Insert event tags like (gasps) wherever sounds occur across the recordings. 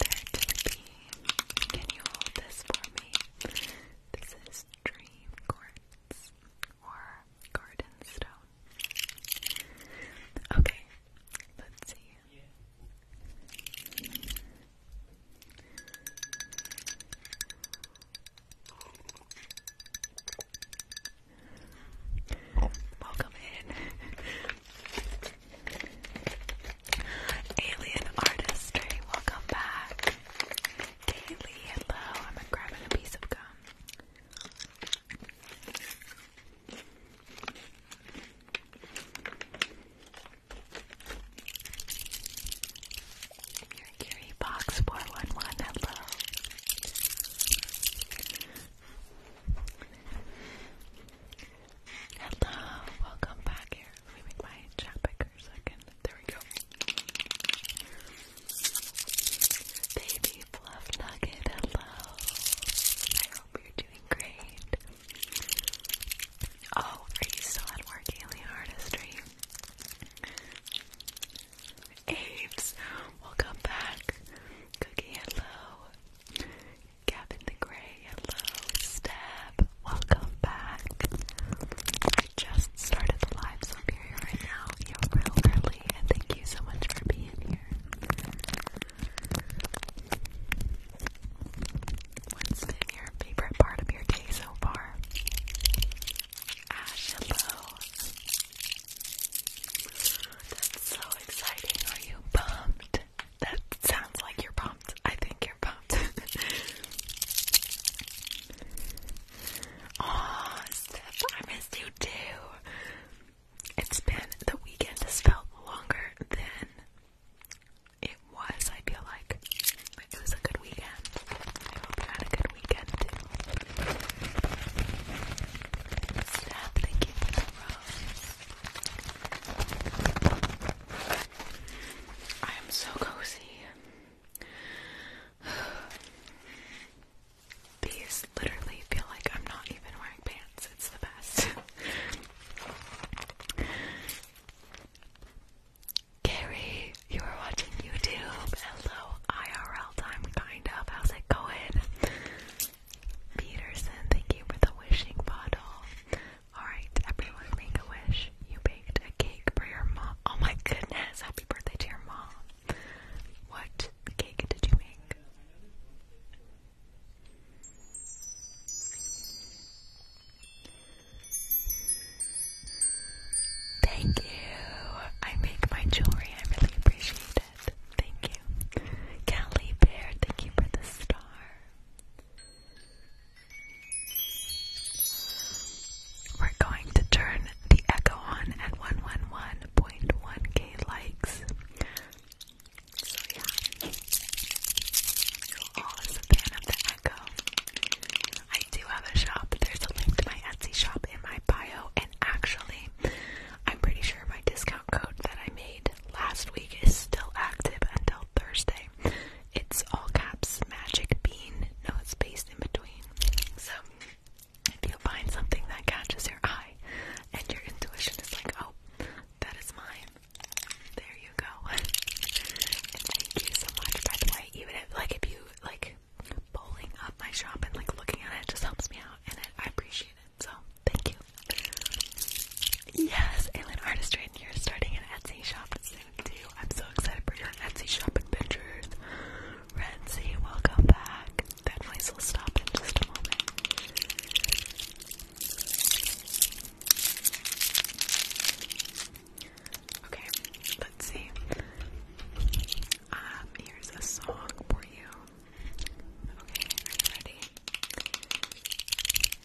there to be. Can you hold this for me? This is dream quartz or garden stone. Okay, let's see. Welcome in. (laughs) Alien artistry, welcome back. Daily, hello. I'm grabbing a piece of gum. Your box four one one. Hello. Hello, welcome back here. Let make my chat back for a second. There we go. Baby Fluff Nugget, hello. I hope you're doing great. Oh, are you still at work, Alien Artistry? Apes, welcome back. Cookie, hello. Gavin the Grey, hello, Step, welcome back. I just started live, so if you're here right now, you're real early, and thank you so much for being here. What's been your favorite part of your day so far? Ash, hello. That's so exciting. Are you pumped? That sounds like you're pumped. I think you're pumped. (laughs) Aw, Steph, I missed you too. It's been the weekend has felt longer than it was, I feel like. it was a good weekend. I hope you had a good weekend Steph, thank you I am so cozy. (sighs) These literally feel like I'm not even wearing pants. It's the best. Carrie, (laughs) you are watching YouTube. Hello, IRL time, kind of. How's it going? Peterson, thank you for the wishing bottle. Alright, everyone make a wish. You baked a cake for your mom. Oh my goodness, happy birthday to your mom. What cake did you make? Thank you. I make my jewelry. I really appreciate it. Thank you. Callie Bear, thank you for the star. We're going to turn the echo on at 111.1k likes. So yeah, you're always a fan of the echo. I do have a shop. There's a link to my Etsy shop in my bio, and actually, I'm pretty sure my discount code that I made last week is still active until Thursday. It's all caps magic bean, no space in between. So if you find something that catches your eye and your intuition is like, oh, that is mine. There you go. (laughs) thank you so much. By the way, even if like if you like pulling up my shop and like looking at it, just helps me out and I appreciate it. So thank you. Yes, Alien Artistry, and you're starting an Etsy shop soon you. I'm so excited for your Etsy shop adventures. Renzi, welcome back. That voice will stop in just a moment. Okay, let's see. Um, here's a song for you. Okay, ready?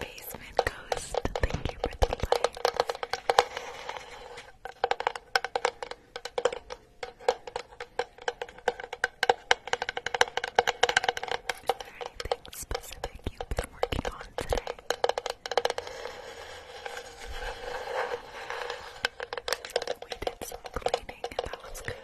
Basement Ghost, thank you for the lights. Is there anything specific you've been working on today? We did some cleaning and that was good.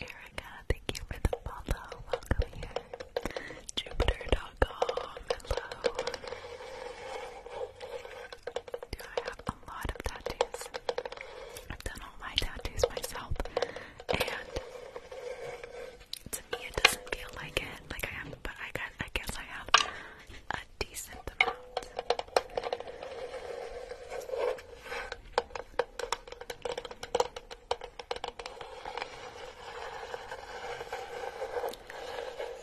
Erica, thank you for the follow. Welcome here. Jupiter.com. Hello. Do I have a lot of tattoos? I've done all my tattoos myself, and to me it doesn't feel like Like I have, but I, got, I guess I have a decent amount.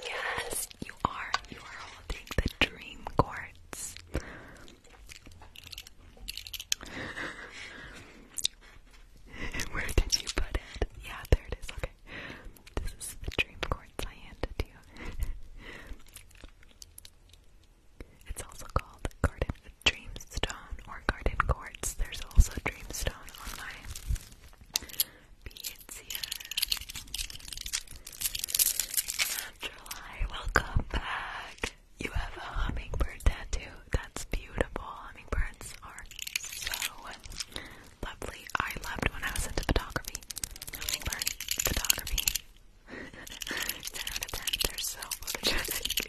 Yes, you are. You are holding the dream quartz. (laughs) Where did you put it? Yeah, there it is. Okay. This is the dream quartz cards I (laughs) it's also called Garden Dreamstone or Garden Quartz. There's also Dreamstone on my beads here. Naturally, welcome back. You have a hummingbird tattoo. That's beautiful. Hummingbirds are so lovely. I loved when I was into photography. photography. (laughs) 10 out of 10, they so photogenic.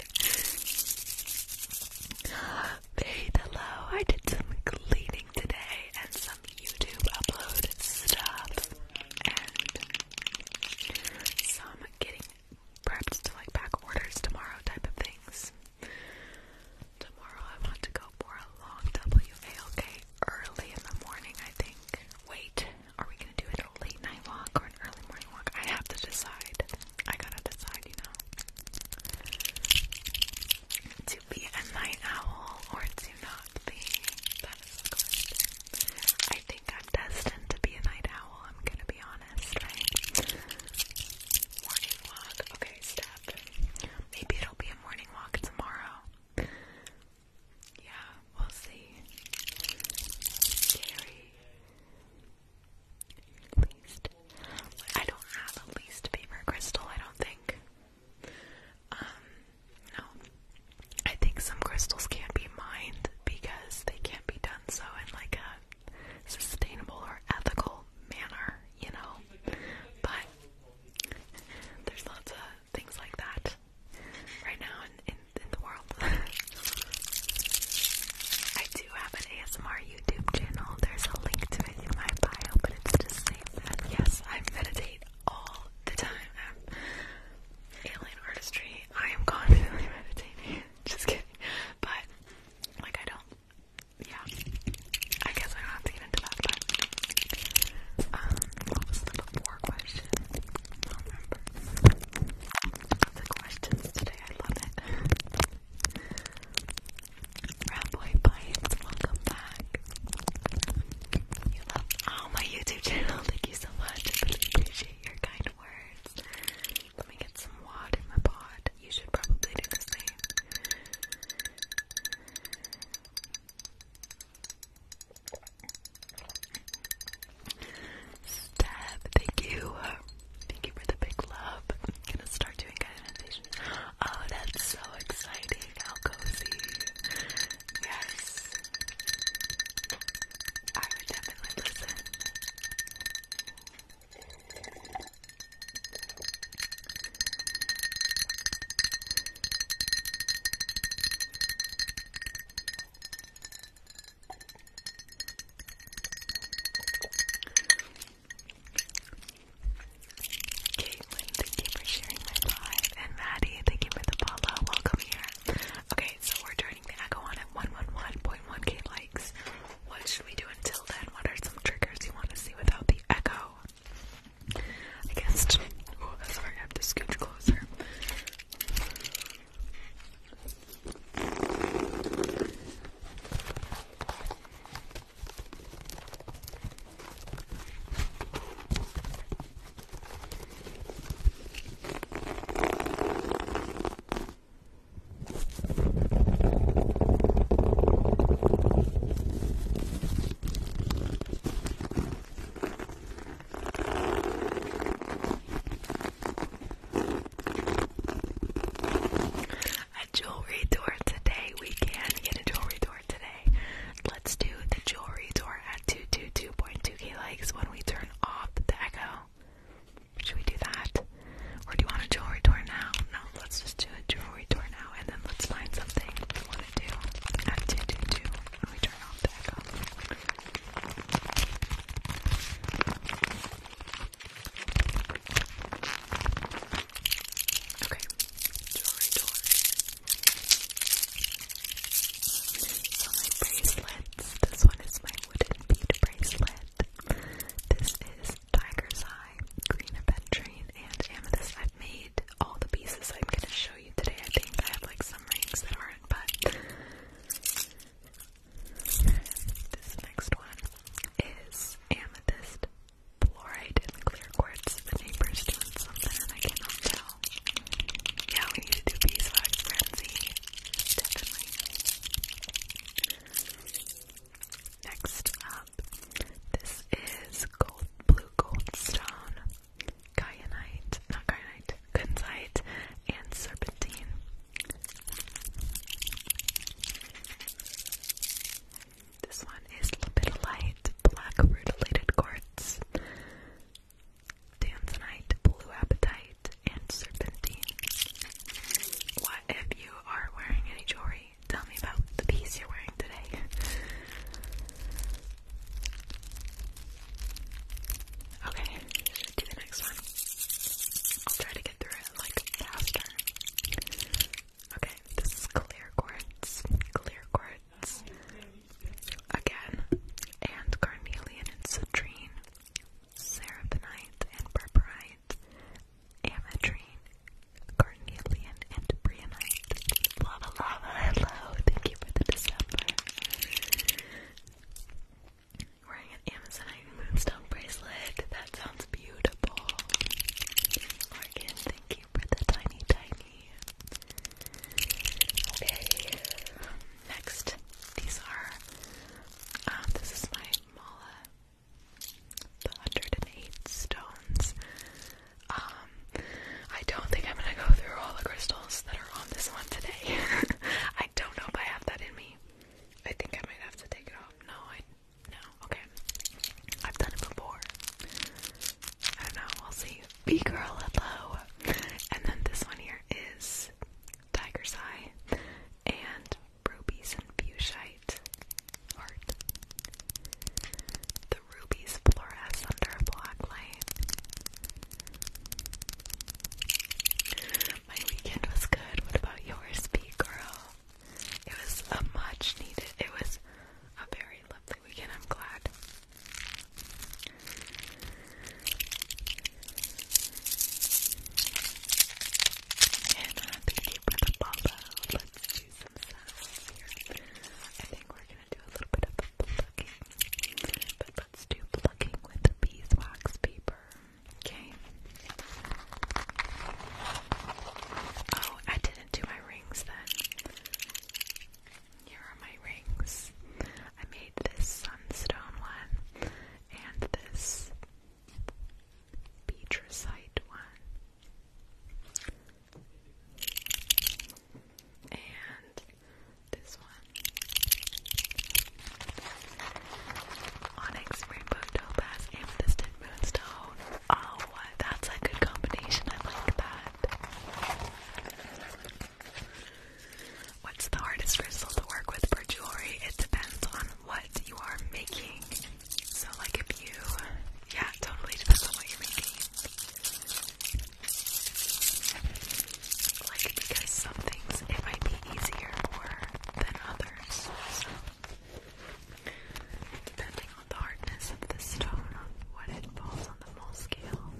(gasps) Hey, hello, I did some cleaning today and some YouTube upload stuff and some getting prepped to like back orders tomorrow type of things. Tomorrow I want to go for a long WALK early in the morning, I think. Wait, are we gonna do it a late night walk or an early morning walk? I have to decide. I gotta decide, you know. To be a night owl or to not be. That is a question. I think I'm destined to be a night owl, I'm gonna be honest, Morning walk. Okay, step. Maybe it'll be morning walk tomorrow. Yeah, we'll see. Least. I don't have a least favorite crystal, I don't think. Um, no. I think some crystals can't be mined because they can't be done so in like a sustainable or ethical manner, you know. But there's lots of things like that right now in, the world. (laughs) I do have an ASMR YouTube channel. There's a link to it in my bio, but it's just saying that yes, I meditate all the time. Um, alien artistry. I am constantly (laughs) meditating. (laughs) Just kidding. But like I don't yeah, I guess I have to get into that, but, um, what was the before question? I don't remember. The questions today, I love it. Ratboy Bites, welcome back. You love, oh, my YouTube channel, (laughs) thank you so much, I really appreciate your kind words. Let me get some wad in my pod. You should probably do the same. Steph, thank you. Thank you for the big love. gonna start doing guided Oh, that's so exciting. How cozy. Yes. I would definitely listen. Caitlin, thank you for sharing my live. And Maddie, thank you for the follow. Welcome here. Okay, so we're turning the echo on at 111.1k likes. What should we do until then? What are some triggers you want to see without the echo? against. Oh, sorry, I have to scoot closer. A jewelry tour today. We can get a jewelry door today. Let's do the jewelry door at 222.2k likes when we turn off the echo. Should we do that? Or do you want a jewelry door now? No, let's just do a jewelry we turn out, and then let's find something we want to do at 2 we turn off the echo. Okay, jewelry door. bracelets this one is my wooden bead bracelet, this is tiger's eye green aventurine and amethyst. I've made all the pieces I'm going to show you today. I think I have like some rings that aren't, but this next one is amethyst fluoride and clear quartz. The neighbor's doing something and I cannot tell. Yeah, we need to do beeswax frenzy. Definitely. Next, uh, this is gold, blue goldstone, kyanite, not kyanite, kunzite, and serpentine. This one is lepidolite, black rutilated quartz, tanzanite, blue apatite, and serpentine. What if you are wearing any jewelry tell me about the piece you're wearing today. Okay, do the next one. I'll try to get through it like faster. Okay, this is clear quartz, clear quartz, again, and carnelian and citrine, serapinite and purpurite, ametrine Carnelian and Brianite. Lava Lava, hello. Thank you for the December. Wearing an Amazonite moonstone bracelet. That sounds beautiful. Morgan, thank you for the tiny, tiny. Okay. Next, these are. Um, this is my mala. The 108 stones. Um, I don't think I'm gonna go through all the crystals that are on this one today. (laughs) I don't know if I have that in me. I think I might have to take it off. No, I no. Okay, I've done it before. I don't know. We'll see. Be girl, hello. And then this one here is tiger's eye and rubies and fuchsite heart rubies fluoresce under a black light. My weekend was good. What about yours, B girl? It was a much needed. It was a very lovely weekend. I'm glad. And uh, thank you for the Let's do some sounds here. I think we're gonna do a little bit of plucking, let's do plucking with the beeswax paper. Okay. Oh, I didn't do my rings then. Here are my rings. I made this sunstone one and this beatricite one and this one. Onyx Rainbow Topaz Amethyst and Moonstone. Oh, that's a good combination. I like that. What's the hardest crystal to work with for jewelry? It depends on what you are making. So, like, if you, yeah, totally depends on what you're making. Like, because some things it might be easier for than others. So, depending on the hardness of the stone, on what it falls on the mole scale.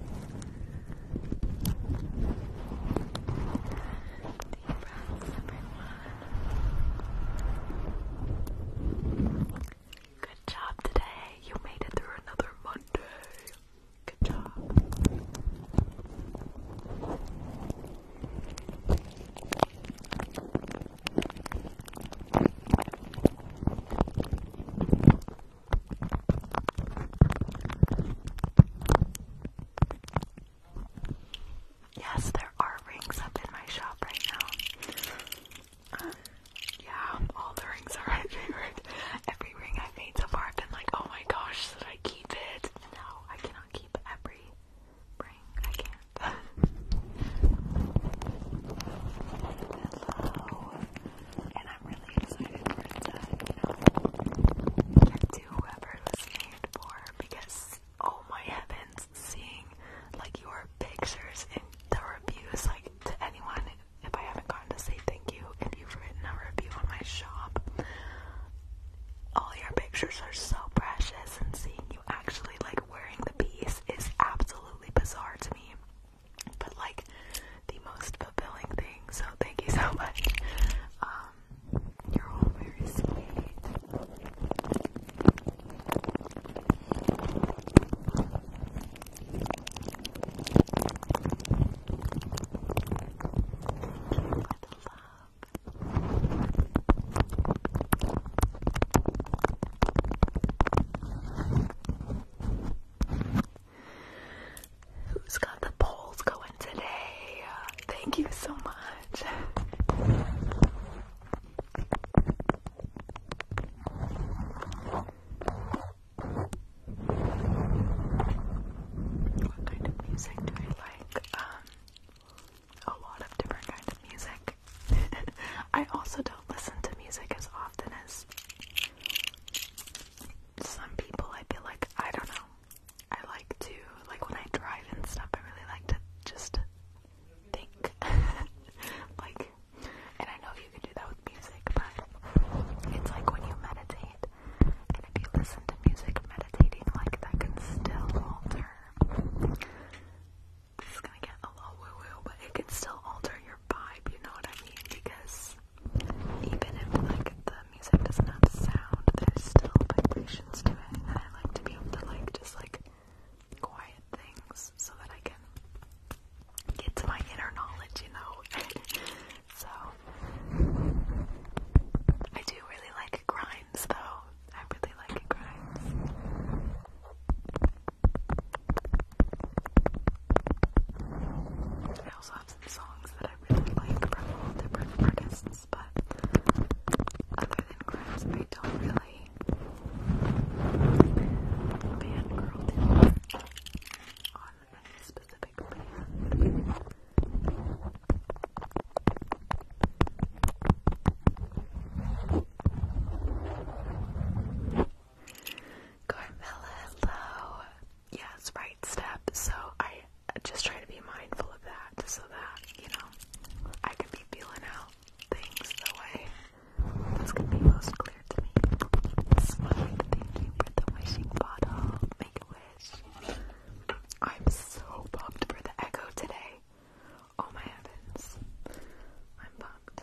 Good job today. You made it through another Monday. Good job. Yes, there are rings up in my shop right now yeah, all the rings are my favorite. Every ring I've made so far, I've been like, oh my gosh, should I keep it? no, I cannot keep every ring. I can't. (laughs) Hello. And I'm really excited for it to, you know, whoever it was named because, oh my heavens, seeing like your pictures in the reviews, like to anyone if I haven't gotten to say thank you, and you've written a review on my shop, all your pictures are so precious, and seeing you actually like wearing the piece is absolutely bizarre to me, but like the most fulfilling thing. So thank you so much. Um, you're all very sweet. Who's got the polls going today? Thank you so much. What kind of music do I like? Um, a lot of different kind of music. (laughs) I also don't listen to music as often as some people. I feel like I don't know. I like to like when I drive and stuff. I really like to just think, (laughs) like and I know you can do that with music, but it's like when you meditate, and if you listen to music meditating, like that can still alter. This is gonna get a little woo woo, but it can still alter your vibe, you know what I mean? Because even if like the music doesn't have sound, there's still vibrations to it, and I like to be able to like just like quiet things so that I can get to my inner knowledge, you know. (laughs) so I do really like grinds though. I really like grinds. I also have some songs that I really like from all different artists, but other than grinds I don't really on Yes, right step. So I just try to be mindful of that so that, you know, I can be feeling out things the way gonna be most clear to me. thank you for the wishing bottle. Make a wish. I'm so pumped for the echo today. Oh my heavens. I'm pumped.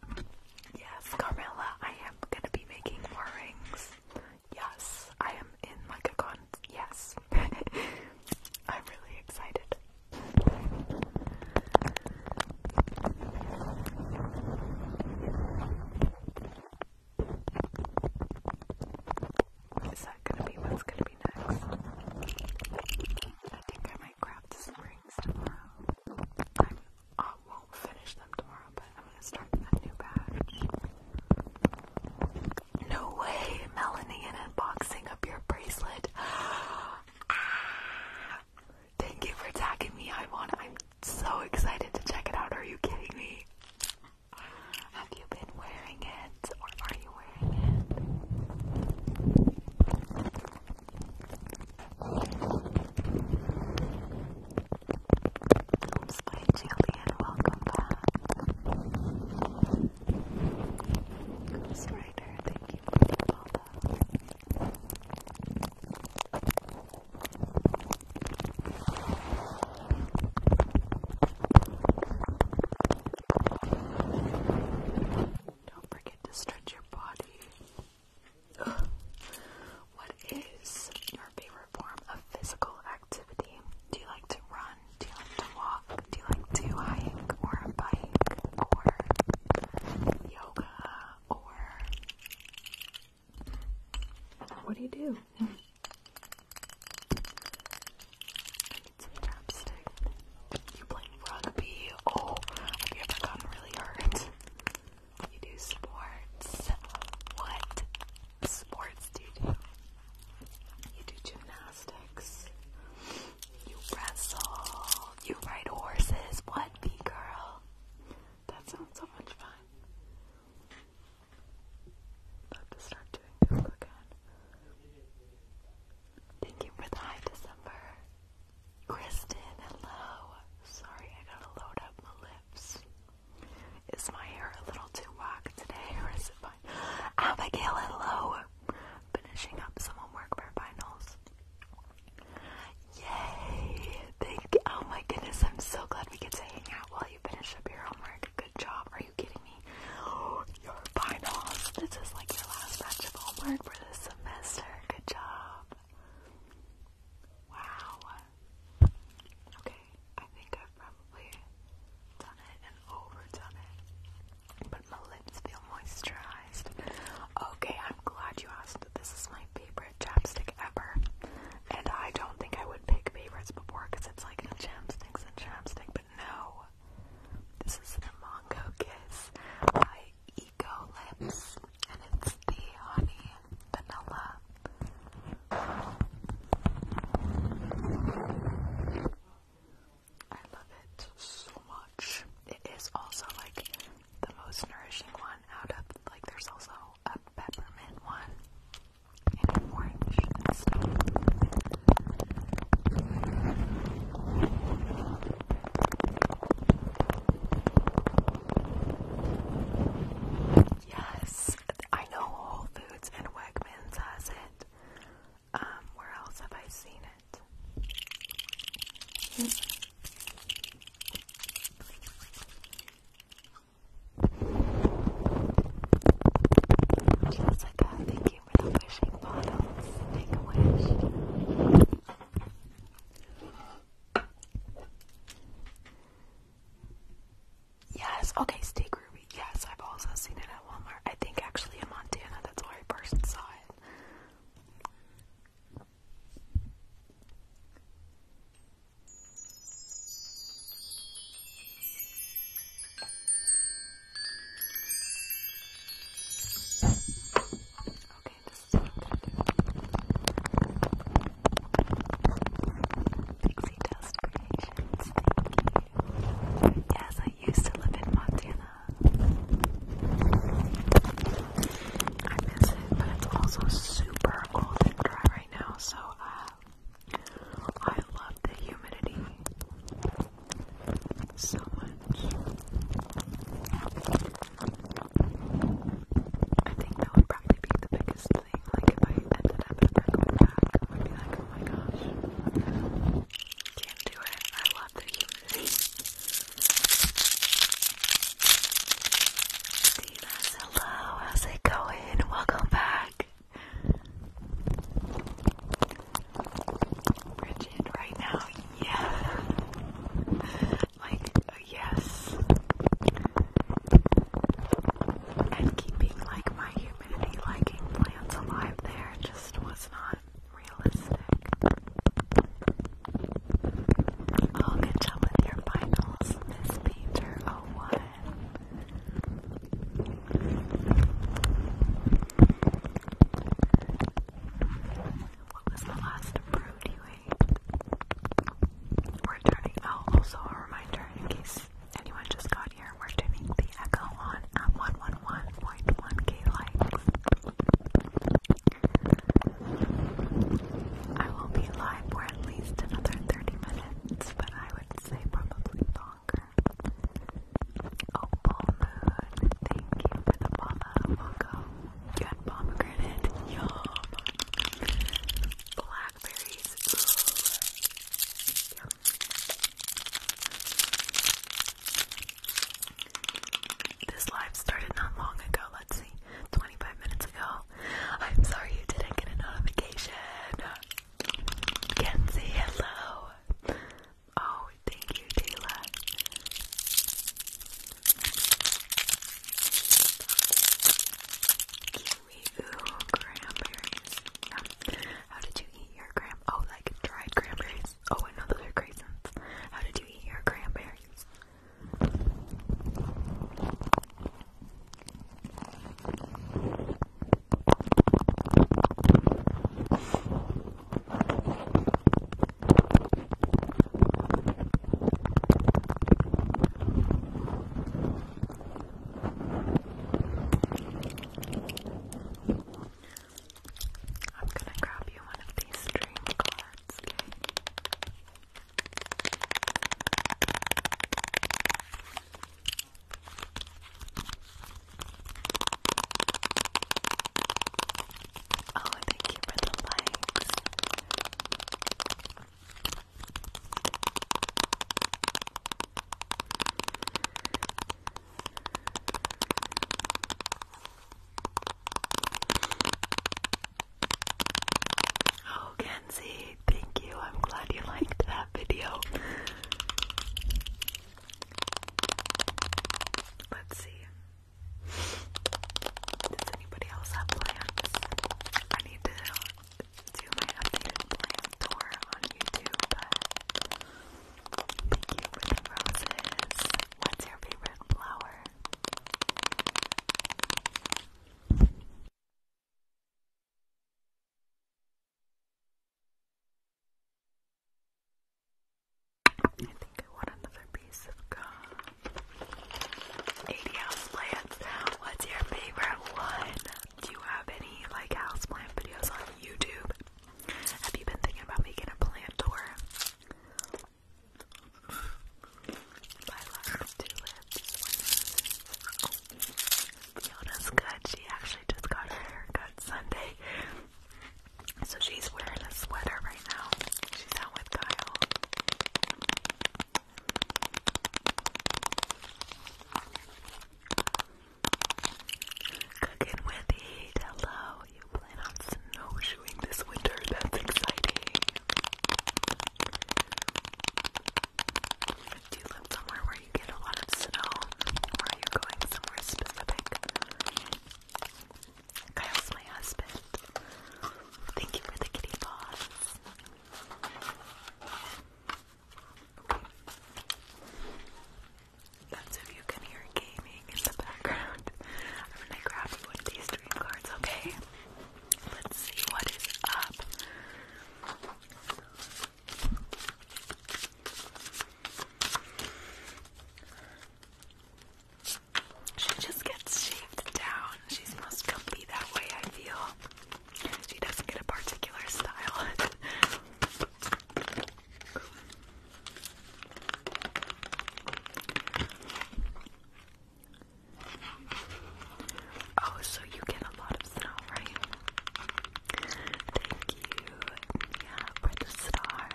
Yes, Carmela, I am gonna be making more rings. Yes, I am in like a con. Yes, (laughs) I'm really excited. Is that gonna be what's gonna be next? I think I might. I am No way, Melanie, unboxing up your bracelet. (gasps) thank you for tagging me. I I'm so excited to check it out. Are you kidding me? Have you been wearing it, or are you wearing it? Oops, jelly, and welcome back. Ghost thank you for the follow. Don't forget to stretch your body. What is your favorite form of physical activity? Do you like to run? Do you like to walk? Do you like to hike or bike or yoga or what do you do? (laughs) I need chapstick. You play rugby. Oh, have you ever gotten really hurt? You do sports. What sports do you do? You do gymnastics. You wrestle. You ride horses. What, B girl? That sounds so much fun. Love to start doing Google again. Thank you for the high December. Kristen, hello. Sorry, I gotta load up my lips. Is my hair a little too whack today, (laughs) or is it fine? Abigail, hello. Finishing up some homework for finals. Yay! Thank. You. Oh my goodness, I'm so glad we get to hang out while you finish up your homework. Good job. Are you kidding me? Oh, (gasps) your finals. This is like your last batch of homework for the semester. Good job. Wow. Okay, I think I've probably done it and overdone it, but my lips feel moisturized. Okay, I'm glad you asked. This is my favorite chapstick ever, and I don't think I would pick favorites before because it's like a chapsticks and chapstick, but no. This is the Mongo Kiss Eco Lips, and it's the honey vanilla. I love it so much. It is also like the most nourishing one out of like there's also a peppermint one and orange Yes, I know Whole Foods and Wegmans has it. Um, where else have I seen it? Hmm. Jessica, thank you for the wishing bottles. Make a wish. Yes, okay, steak ruby. Yes, I've also seen it at Walmart. I think actually in Montana, that's where I first saw it. Okay, Pixie Dust Creations, Yes, I used to live in Montana. I miss it, but it's also super cold and dry right now, so uh, I love the humidity so much. I think that would probably be the biggest thing. Like if I ended up ever going back, I would be like, oh my gosh, can't do it. I love the humidity. hello, how's it going? Welcome back. Bridget, right now, yeah like a yes and keeping like my humidity liking plants alive there just was not realistic. Oh, good job with your finals, Miss Painter 01. What was the last fruit you We're turning. Oh, also a reminder in case anyone just got here, we're turning the echo on at 111.1k likes. I will be live for at least another 30 minutes, but I would say probably longer. Opal oh, Moon, thank you for the follow, Welcome. You pomegranate, yum. Blackberries, This live started not long ago, let's see, 25 minutes ago. I'm sorry you didn't get a notification. Kenzie, hello. Oh, thank you, Taylor. Kiwi, ooh, cranberries. How did you eat your cram? Oh, like dried cranberries. Oh, I know those are raisins. How did you eat your cranberries? I'm gonna grab you one of these dream cards, okay? Oh, thank you for the likes. Oh, Kenzie, thank you. I'm glad you liked that video. Let's see. Does anybody else have plans? I need to do my updated plan tour on YouTube. Thank you for the roses. What's your favorite flower? I think I want another piece of gum. 80 houseplants. What's your favorite one? Do you have any like houseplant videos on YouTube? Have you been thinking about making a plant tour? My last two lips. good. She actually just got her haircut Sunday. So she's wearing a sweater right She's out with Kyle. Cooking with heat. Hello. You plan on snowshoeing this winter. That's exciting. Do you live somewhere where you get a lot of snow? Or are you going somewhere specific? Kyle's my husband. Thank you for the kitty paws. That's if you can hear gaming in the background. I'm gonna grab these dream cards, okay? Let's see what is up. She just gets shaved down. She's most comfy that way, I feel. She doesn't get a particular style. Oh, so you get a lot of snow, right? Thank you. Yeah, for the star.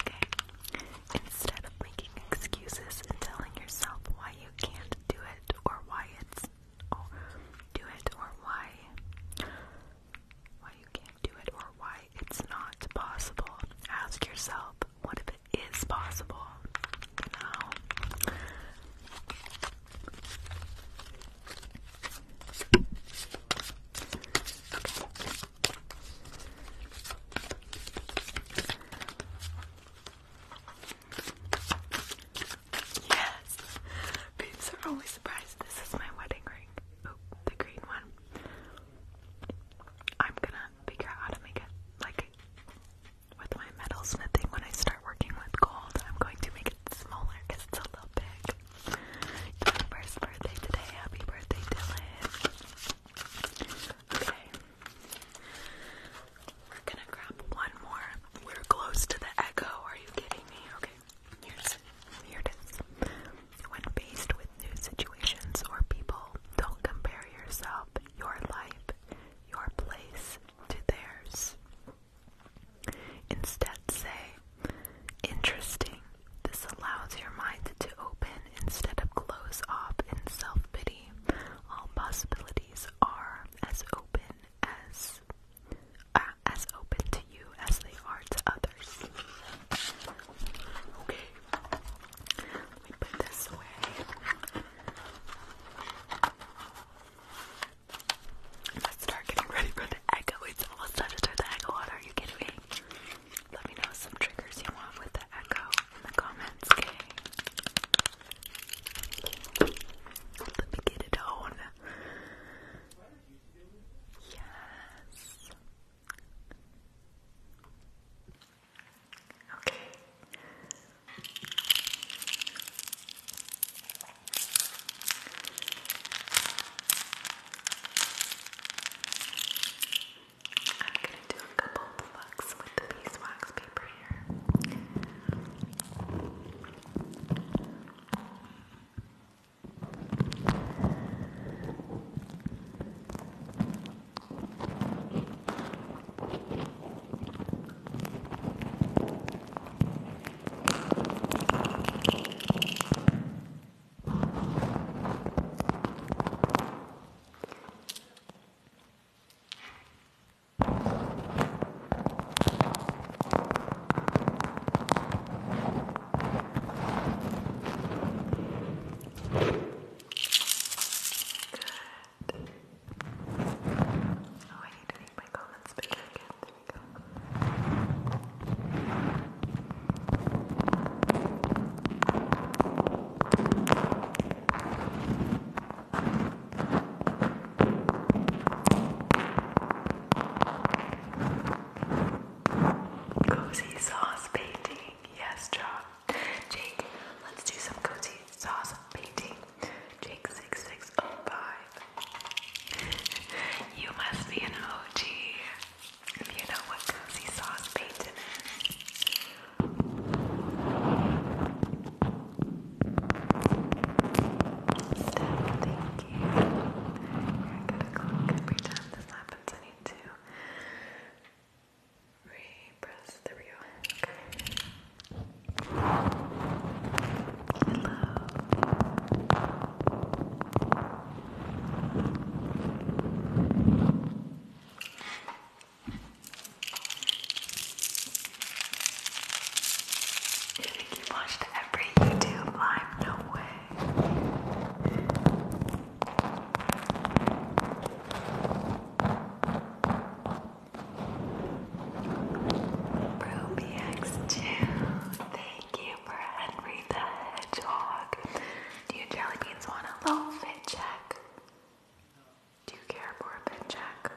Okay? Instead of making excuses and telling yourself why you can't do it or why it's oh, do it or why why you can't do it or why it's not possible. Ask yourself, what if it is possible? You Yes! Babes are always surprised. This is my wedding ring. Oh, the green one. I'm gonna figure out how to make it like with my metal smithing when I start working with gold. I'm going to make it smaller because it's a little big. first birthday today. Happy birthday, Dylan. Okay. We're gonna grab one more. We're close to the echo. Are you kidding me? Okay. Here's here it is. When faced with new situations or people, don't compare yourself, your life, your place to theirs. Instead, say, interesting. This allows your mind to open instead of close off in self-pity. All possibilities are as open as uh, as open to you as they are to others. Okay. Let me put this away. Let's start getting ready for the echo. It's almost time to start the echo on. Are you kidding me? Let me know some triggers you want with the echo in the comments, okay? Let me get it on. Yes. Okay. I'm gonna do a couple plucks with the beeswax paper here. Oh, I need to make my comments bigger again. There we go. Thank Cozy sauce painting. Yes, John. Jake, let's do some cozy sauce painting. Jake six six oh five. You must be an OG if you know what cozy sauce painting is. Thank you. I gotta click every time this happens. I need to repress. There we go. Okay. Hello. You think you've watched every YouTube live? No way. RubyX2, thank you for Henry the Hedgehog. Do you jelly beans want a low fit check? Do you care for a bed check?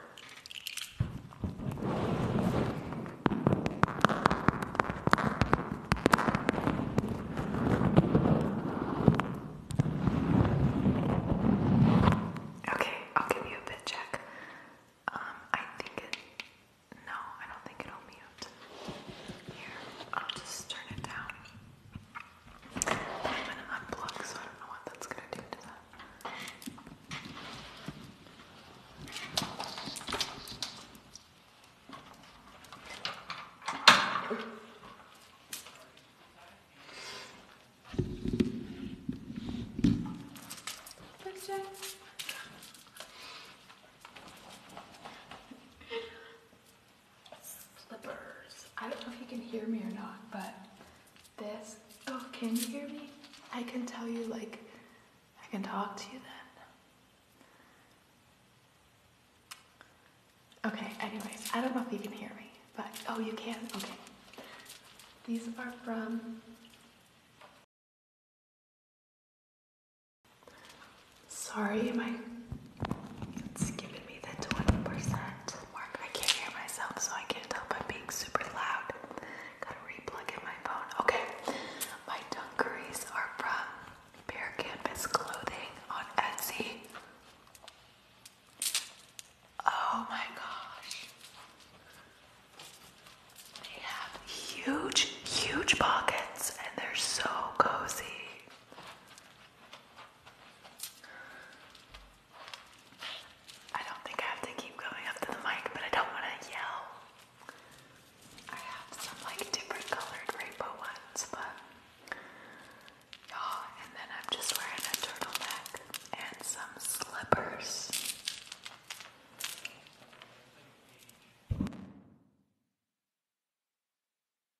Okay, I'll give you a bit check. Um, I think it. No, I don't think it'll mute. Here, I'll just turn it down. I'm gonna unplug, so I don't know what that's gonna do to that slippers. I don't know if you can hear me or not, but this, oh, can you hear me? I can tell you, like, I can talk to you then. Okay, anyways, I don't know if you can hear me, but, oh, you can, okay. These are from Sorry, my it's giving me the 20% mark. I can't hear myself, so I can't help I'm being super loud. Gotta replug in my phone. Okay, my dungarees are from Bare Canvas Clothing on Etsy. Oh my gosh. They have huge, huge pockets and they're so cozy. I don't think I have to keep going up to the mic, but I don't want to yell. I have some like different colored rainbow ones, but you and then I'm just wearing a turtleneck and some slippers.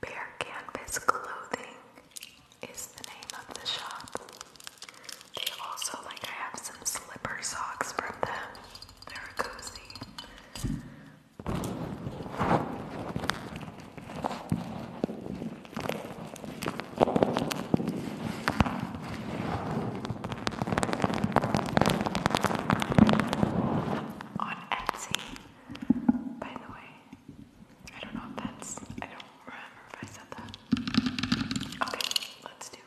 Bear Canvas Clothing is the name of the shop. They also like I have some slipper socks from them. They're cozy. On Etsy, by the way, I don't know if that's. I don't remember if I said that. Okay, let's do.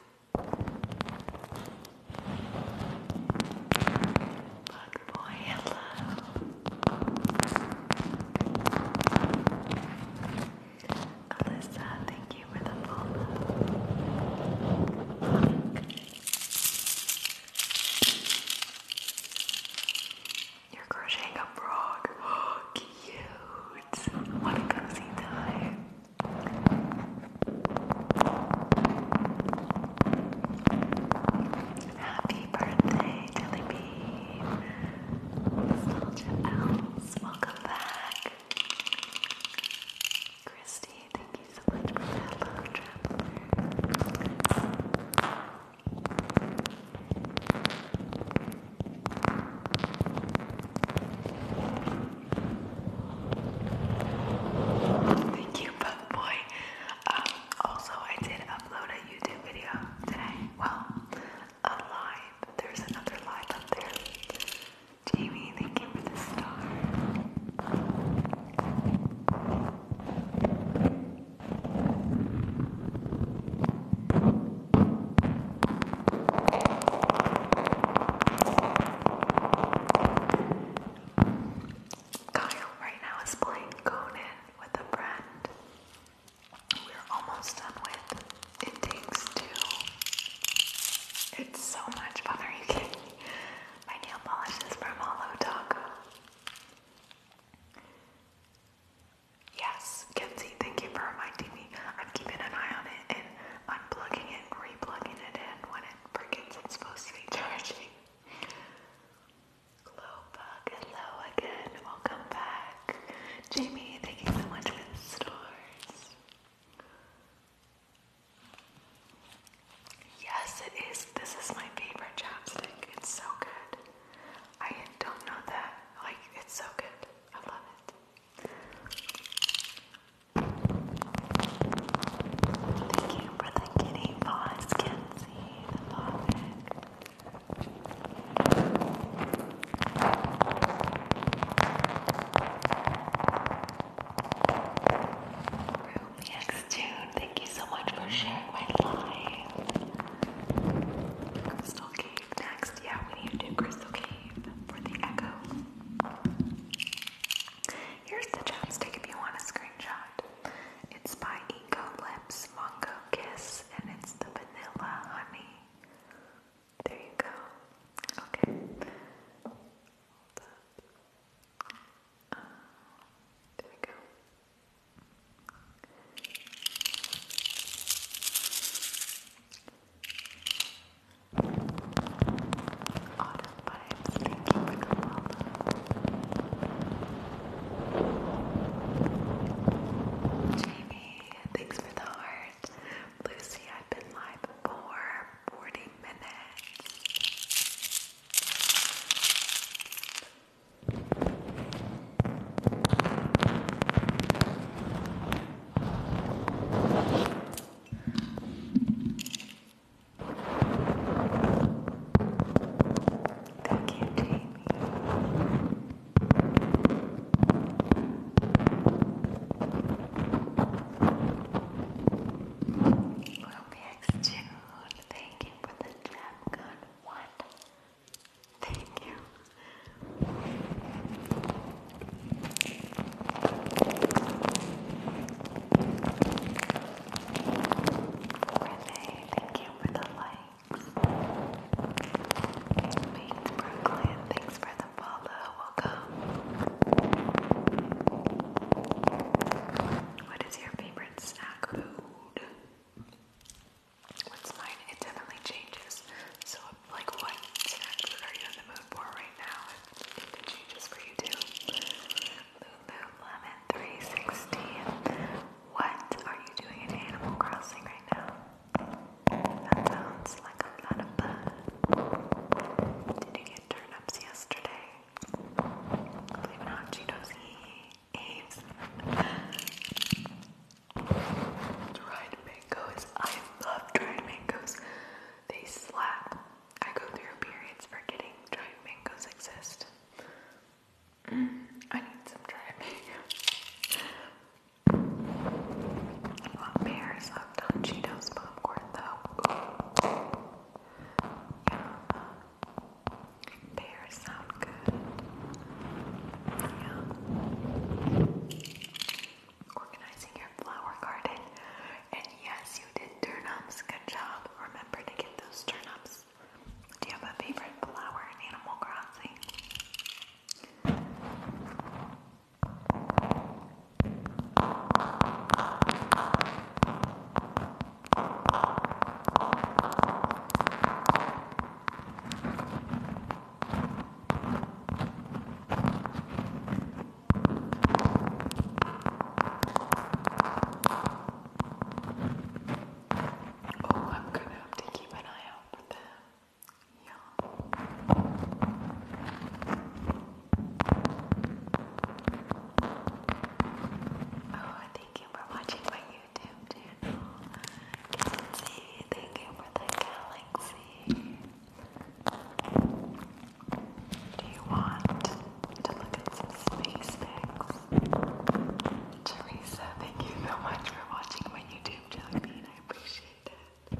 Bug boy, hello. Alyssa, thank you for the follow. You're crocheting a frog. Oh, (gasps) cute. What a cozy time. Happy birthday, Jelly Nostalgia Elves, welcome back. Christy, thank you Thank you, Bug Boy. Um, also, I did upload a YouTube video today. Well, a live. There's another live up there. Jamie, thank you for the star. Kyle right now is playing Conan with a friend. We're almost done with It Two. It's so much fun. Are you kidding? My nail polish is from Holo Taco. Yes, Kenzie, thank you for reminding me. I'm keeping an eye on it and unplugging it, replugging it in when it forgets it's supposed to be charging. Glowbug, hello again. Welcome back. Jamie, thank you so much for the stars. Yes, it is. This is my favorite chapstick. It's so good. I don't know that. Like, it's so good. I love it. Thank you for the kitty paws, Kenzie. I love it. X2, thank you so much for sharing my life. Crystal Cave next. Yeah, we need to do Crystal Cave for the echo. Here's the chapstick if you want a screenshot. It's by Eco Lips Mongo Kiss, and it's the vanilla honey. There you go. Okay. Uh, there we go. thank you for the follow. Jamie, thanks for the heart. Lucy, I've been live for 40 minutes. Thank you, Jamie. We'll be next June. Thank for the jam gun. What? Thank you. Renee, thank you for the likes. Bates Brooklyn, thanks for the follow. Welcome. What is your favorite snack What's mine? It definitely changes. So, like, what are you in the mood for right now? It, changes for you too. Lululemon 360. What are you doing in Animal Crossing right now? That sounds like a lot of fun. Did you get turnips yesterday? Believe it or Dried mangoes. I love dried mangoes. They slap. I go through periods forgetting dried mangoes exist. Mm, I need some dried (laughs) mangoes. I have done Cheetos popcorn though. Yeah. Pears sound good. Yeah. Organizing your flower garden. And yes, you did turnips. Good job. Remember to get those turnips. Do you have a favorite flower in Animal Crossing? Oh, I'm gonna have to keep an eye out for them. Yeah. Oh, thank you for watching my YouTube channel. Kelsey, thank you for the galaxy. Do you want to look at some space pics? Teresa, thank you so much for watching my YouTube channel. I appreciate it.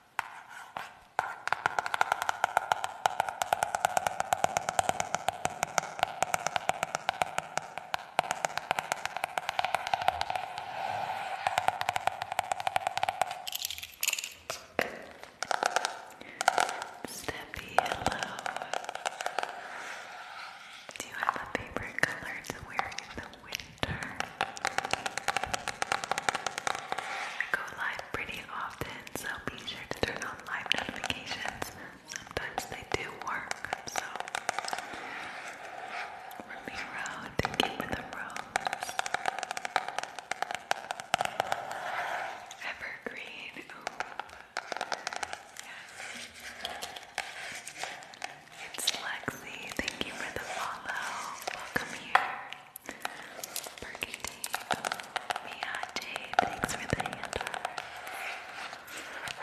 Steppy, hello. Do you have a favorite color to wear in the winter? I go light pretty often, so be sure to turn on live notifications. Sometimes they do work, so Ramiro, thank you for the rose. Evergreen, Yes. It's Lexi, thank you for the follow. Welcome here. Burger Dave. thanks for the hand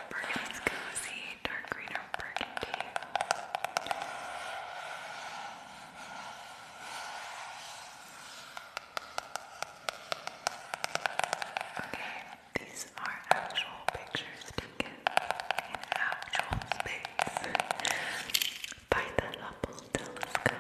Burgundy's cozy, dark green or burgundy. Okay, these are actual pictures taken in actual space by the Hubble telescope.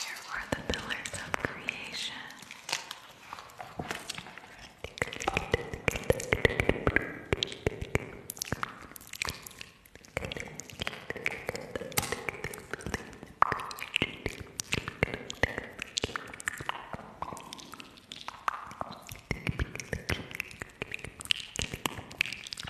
Here are the pillars of creation.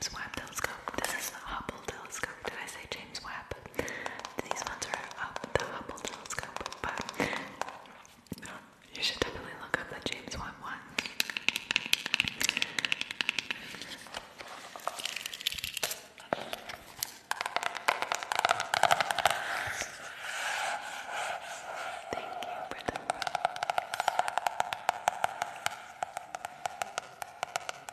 James Webb Telescope. This is the Hubble Telescope. Did I say James Webb? These ones are up the Hubble Telescope, you should definitely look up the James Webb Thank you for the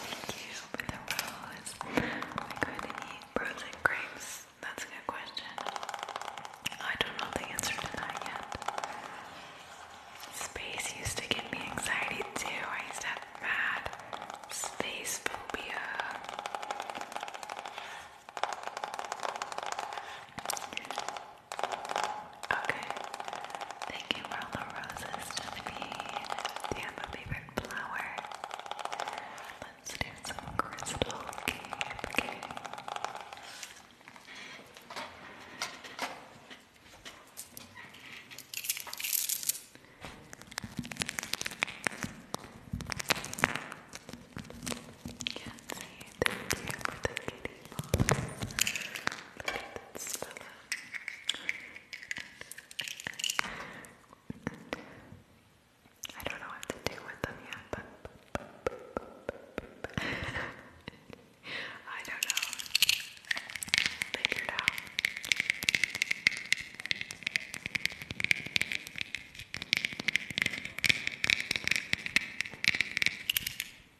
Thank you for the rose. Like who they eat rose and That's a good question. I don't know the answer to that yet. Space used to give me anxiety too. I used to have mad space phobia. Okay. Thank you for all the roses, Stephanie. Do you have a favorite flower? Let's do some crystal cake. Yes, thank you for the kitty box. Look at I don't know what to do with them yet, but I don't know. Figure out.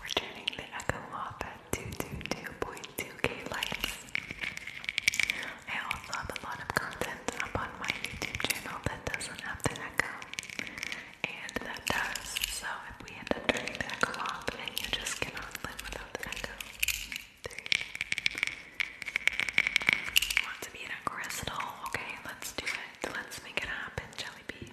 We're turning the Echo off at 222.2k likes. I also have a lot of content up on my YouTube channel that doesn't have the Echo, and that does. So if we end up turning the Echo off, then you just cannot live without the Echo. Want to be in a crystal? Okay, let's do it. Let's make it happen, Jelly Bee.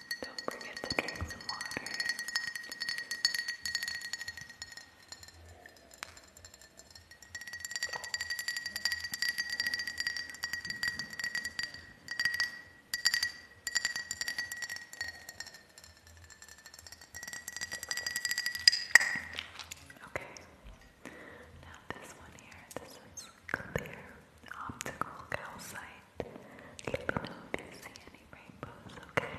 Don't forget to drink some water. Okay, now this one here, this is clear optical calcite. Let if you see any rainbows, okay?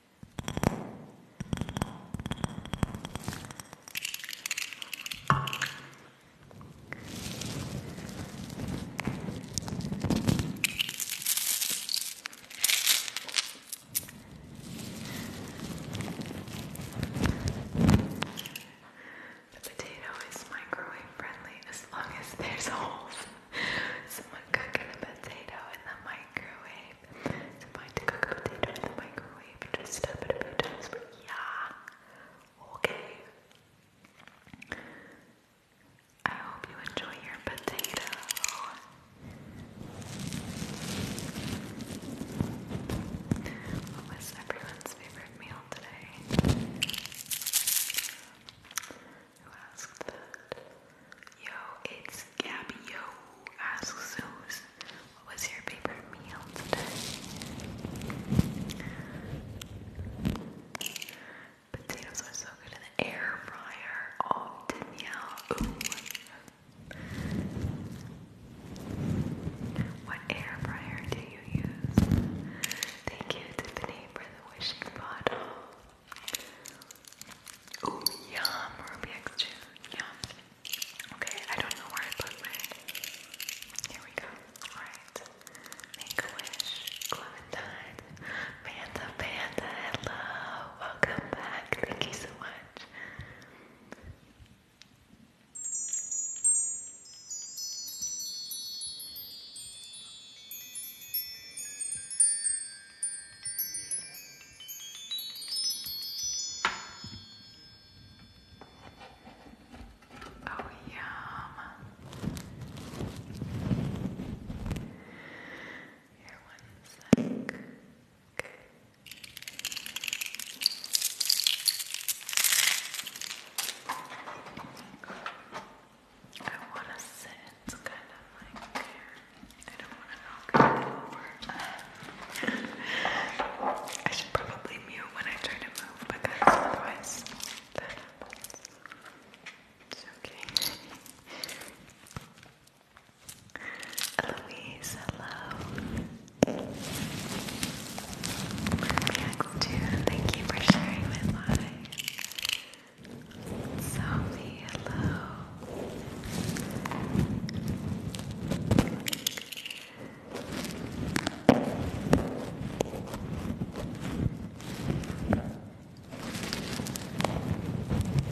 The potato is microwave friendly as long as there's holes. Someone cooking a potato in the microwave. It's fine a potato in the microwave. Just step it a few times. Yeah. Okay. I hope you enjoy your potato. What was everyone's favorite meal today? Who asked that? Yo, it's Gabby Yo asks Zeus, what was your favorite meal today? Potatoes are so good in the air fryer. Oh, Danielle. Ooh. What air fryer do you use? Thank you, Tiffany, for the wishing bottle. Ooh, yum, Rubik's Cube, yum. Okay, I don't know where I put my, here we go, alright. Make-A-Wish, Clementine, Panda, Panda, hello, welcome back, thank you so much. Oh, yum. Here, one sec. Okay. I want to sit kind of like I don't want to knock it over. (laughs) I should probably mute when I try to move because otherwise It's okay. (laughs) Eloise, hello. Thank you for sharing my life. So hello.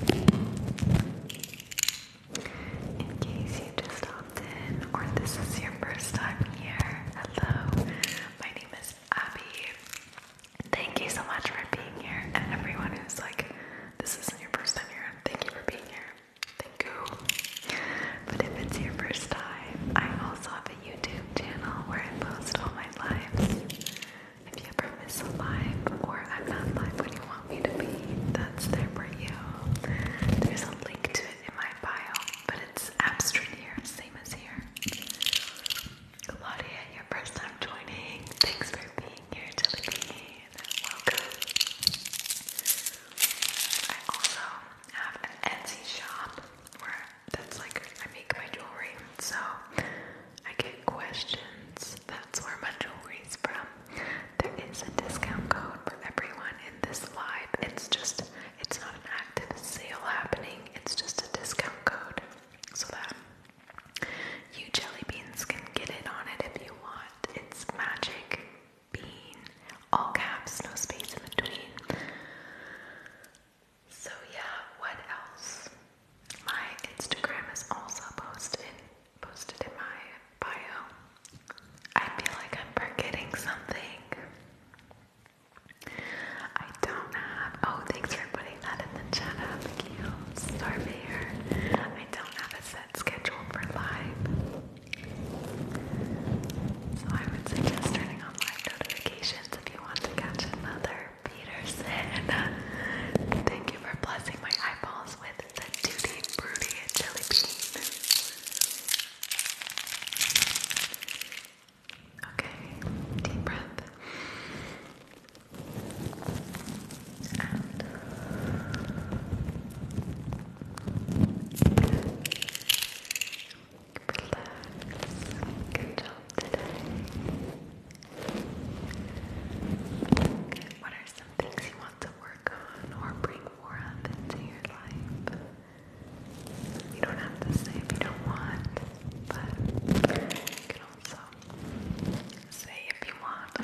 In case you just opted in, or this is your first time here, hello. My name is Abby. Thank you so much for being here, and everyone who's like, this isn't your first time here. Thank you for being here. Thank you. But if it's your first time, I also have a YouTube channel where I post all my lives. If you ever miss a live or I'm not live when you want me to be, that's there for you. There's a link to it in my bio, but it's abstract here, same as here. Claudia, your first time joining. Thanks for being here, Jelly Welcome. I also have an Etsy shop where that's like I make my jewelry, so I get questions. That's where my jewelry from. There is a discount code for everyone in this live. It's just it's not an active sale happening. It's just a discount code so that you jelly beans can get in on it if you want. It's magic bean. All caps, no space in between. So yeah, what else? My Instagram is also posted posted in my bio. I feel like I'm forgetting something. I don't have oh thanks for that in the chat up, you Starveyor. I don't have a set schedule for live. So I would suggest turning on live notifications if you want to catch another Peterson. Thank you for blessing my eyeballs with the Duty Broody Jelly Bean. Okay, deep breath. Good job today. what are some things you want to work on or bring more of into your life? You don't have to say if you don't want, but also. Say if you want. (laughs)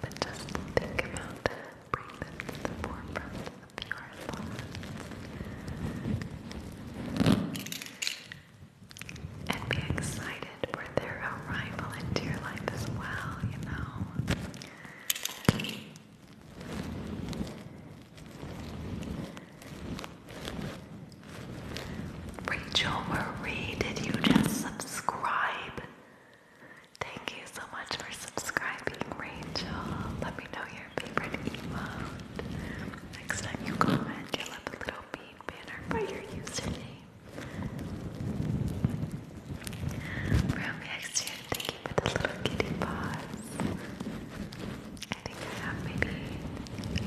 but just think about bring them to the of your thoughts. And be excited for their arrival into your life as well, you know. Rachel Marie, did you just subscribe? Thank you so much for subscribing, Rachel. Let me know your favorite emote. Next time you comment, you a little bean banner for your username. From next year, thank you for the little kitty paws. I think I have maybe,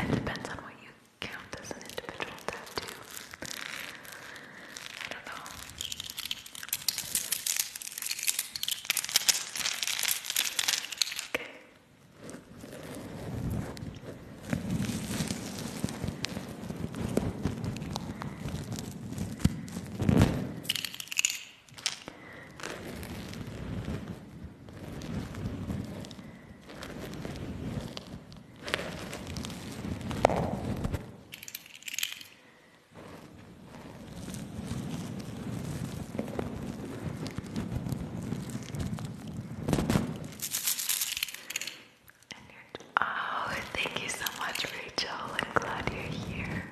it depends on what you count as an individual tattoo. I don't know. Oh, thank you so much, Rachel. I'm glad you're here.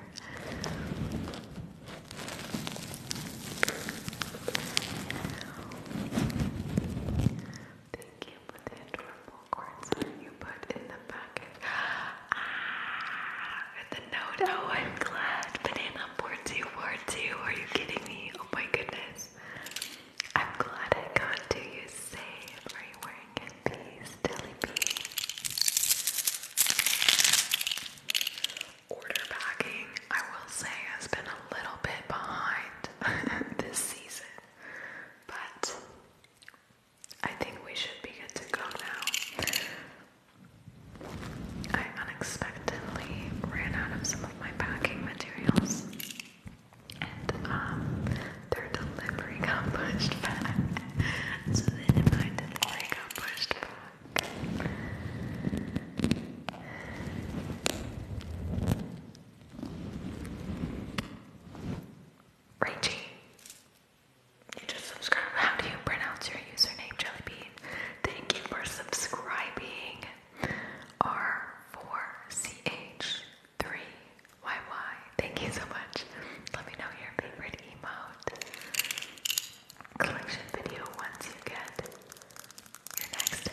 Thank you for the adorable you put in the package. Ah, the note. Oh, I'm glad. Banana board two, two. Are you kidding me? Oh my goodness. I'm glad I got to you safe. Are you wearing it? Peace, Dilly Pee order packing, I will say, has been a little bit behind (laughs) this season, but I think we should be good to go now. I unexpectedly ran out of some of my packing materials, and um, their delivery got pushed back, so then my got pushed back. Rachie, you just subscribed. How do you pronounce your username, Jellybean? Thank you for subscribing. R4CH3YY. Thank you so much. Let me know your favorite emote collection video once you get you're next.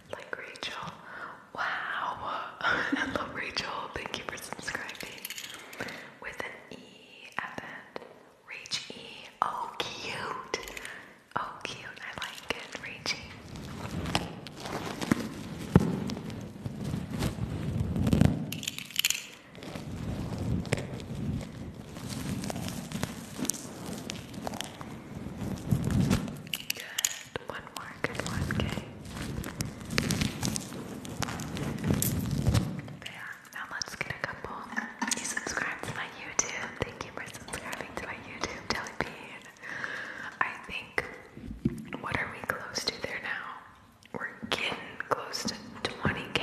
(gasps) like Rachel. Wow. (laughs) Hello Rachel. Thank you for subscribing. With an E at the end. Reach E. Oh, cute. Oh, cute. I like it. Reach Good. One more good one, okay? There. Now let's get a couple. You subscribed to my YouTube. Thank you for subscribing to my YouTube, Jellybean. I think, what are we close to there now? We're getting close to 20k.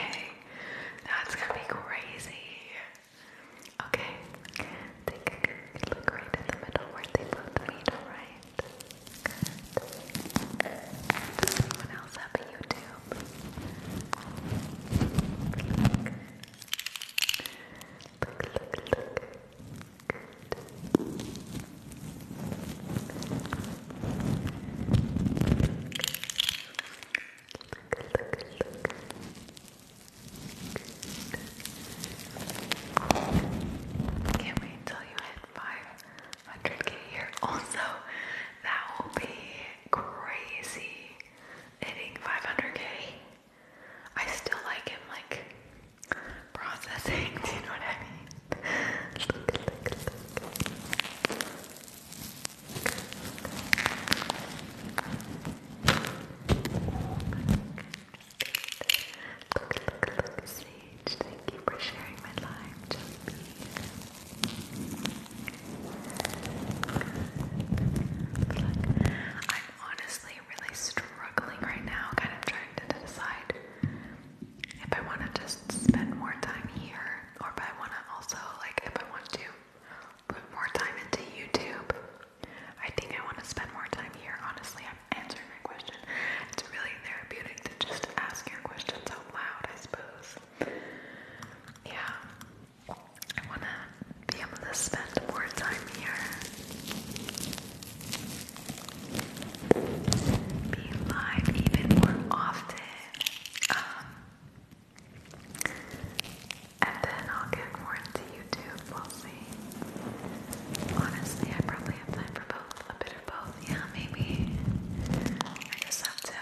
That's gonna be crazy. Okay, take a look right in the middle where they both meet, alright? Good. Does anyone else have a YouTube? Look, look, look. Good. Look, look, look. Good. Can't wait till you hit 500k here. (laughs) Also, that will be crazy hitting 500k. I still like him, like processing. (laughs) Do you know what I mean? look, look, look, look, look, look, Sage. Thank you for sharing my live, Jelly I'm honestly really struggling right now, kind of trying to decide if I want to just spend more time here or if I want to also, like, if I want to put more time into YouTube. I think I want to spend more time here. Honestly, I'm answering my question. It's really therapeutic to just ask your questions out loud, I suppose. Yeah. I want to be able to spend more time here, be live even more often. Um, and then I'll get more into YouTube, we'll see. Honestly, I probably have time for both, a bit of both, yeah, maybe. I just have to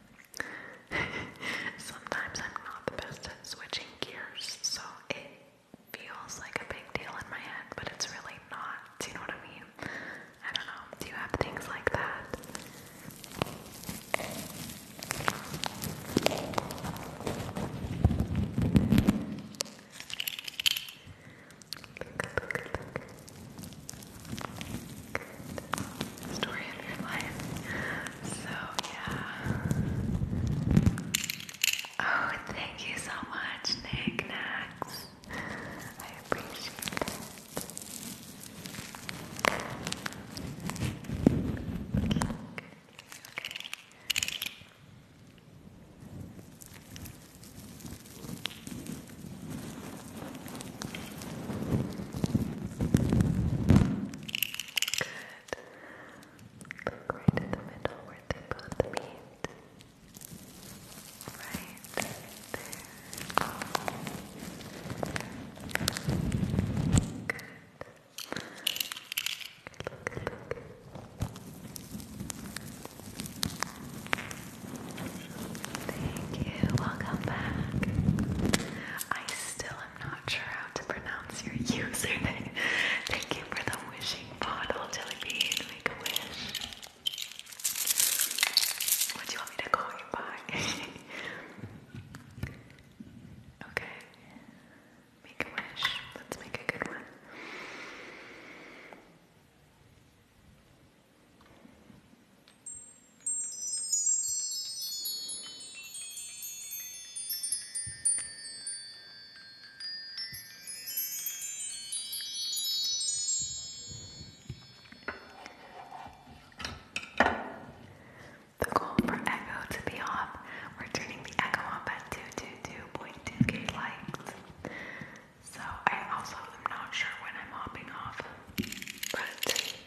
(laughs) Sometimes I'm not the best at switching gears, so it feels like a big deal in my head, but it's really not. Do you know what I mean? I don't know. Do you have things like that? story of your life. So, yeah. Oh, thank you so much, Nick I appreciate it. Okay. Okay. Good. Look right in the middle where they both meet. Right there. Good. Look, look. Thank you. Welcome back. I still I'm not sure how to pronounce your username. Thank you for the wishing bottle, Jellybean. Make a wish. What do you want me to call you by? (laughs) okay. Make a wish. Let's make a good one. The goal for Echo to be off, we're turning the Echo off at 222.2k likes. So I also am not sure when I'm hopping off, but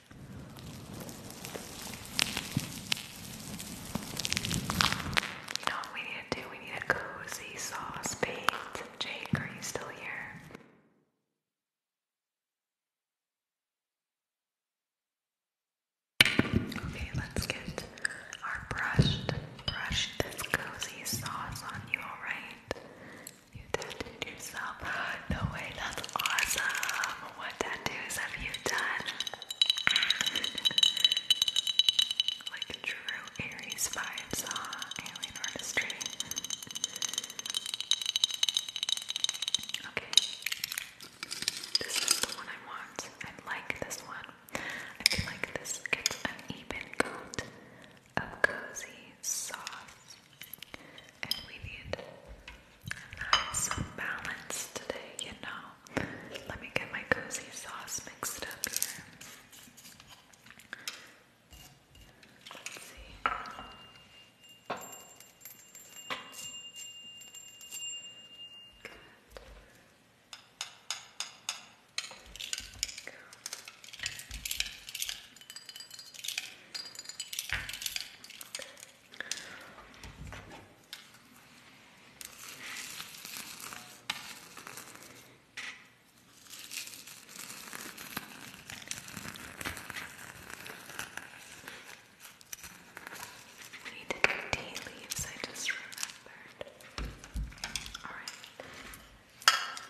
You know what we need to do? We need a cozy sauce paint. Jake, are you still here? Okay, let's get our brushed, brush this cozy sauce on you, alright? You tattooed yourself. (gasps) No way, that's awesome. What tattoos have you done? like true Aries vibes, huh? Alien artistry. Okay. This is the one I want. I like this one. I feel like this gets an even coat of cozy sauce. And we need so balanced today, you know. Let me get my cozy sauce mixed up here. Let's see. Go. We needed tea leaves, I just remembered. Alright. Okay.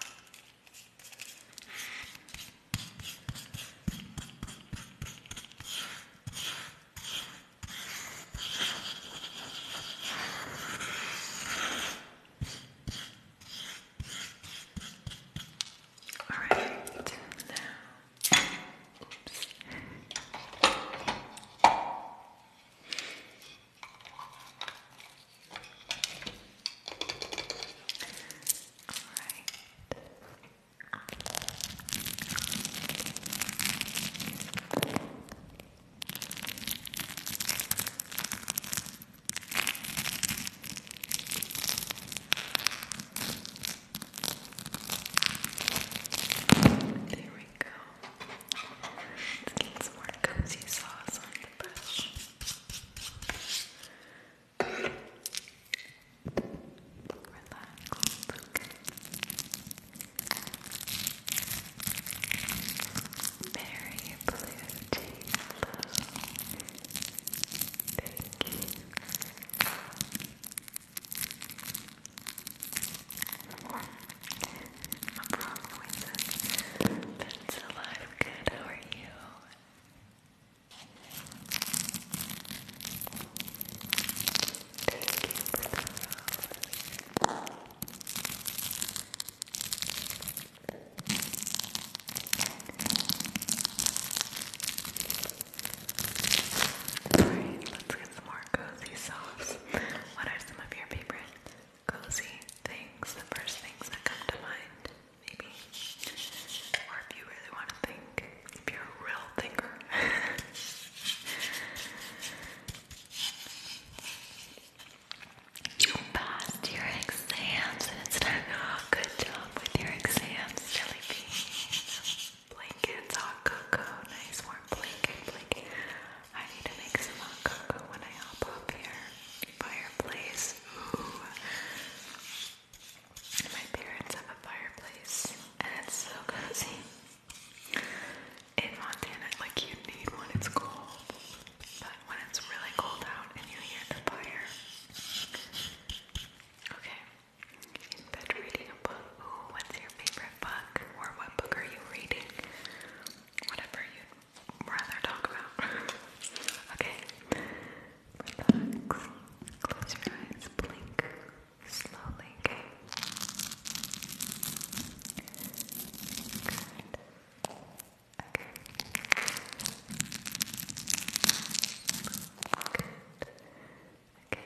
All right, now, oops. All right. There we go. Let's get some more cozy sauce on the brush. Relax, okay. Mary Blue Tea Thank you. My problem with this. It's alive. Good. How are you? Alright, let's get some more cozy socks. What are some of your favorite cozy things? The first things that come to mind, maybe? Or if you really want to think, (laughs) you passed your exams and it's time oh, good job with your exams, silly Blankets, hot cocoa, nice warm blanket, blanket. I need to make some hot cocoa when I hop up here. Fireplace, ooh. My parents have a fireplace and it's so cozy. In Montana, like you need one, it's cold. But when it's really cold out and you hear the fire. Okay. In bed reading a book. Ooh, what's your favorite book? Or what book are you reading? Whatever you'd rather talk about. (laughs) okay. Relax. Close your eyes. Blink slowly, okay? Good. Okay. Good. Okay. Good. Blink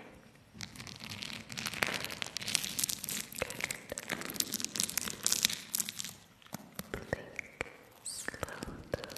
slow. Good.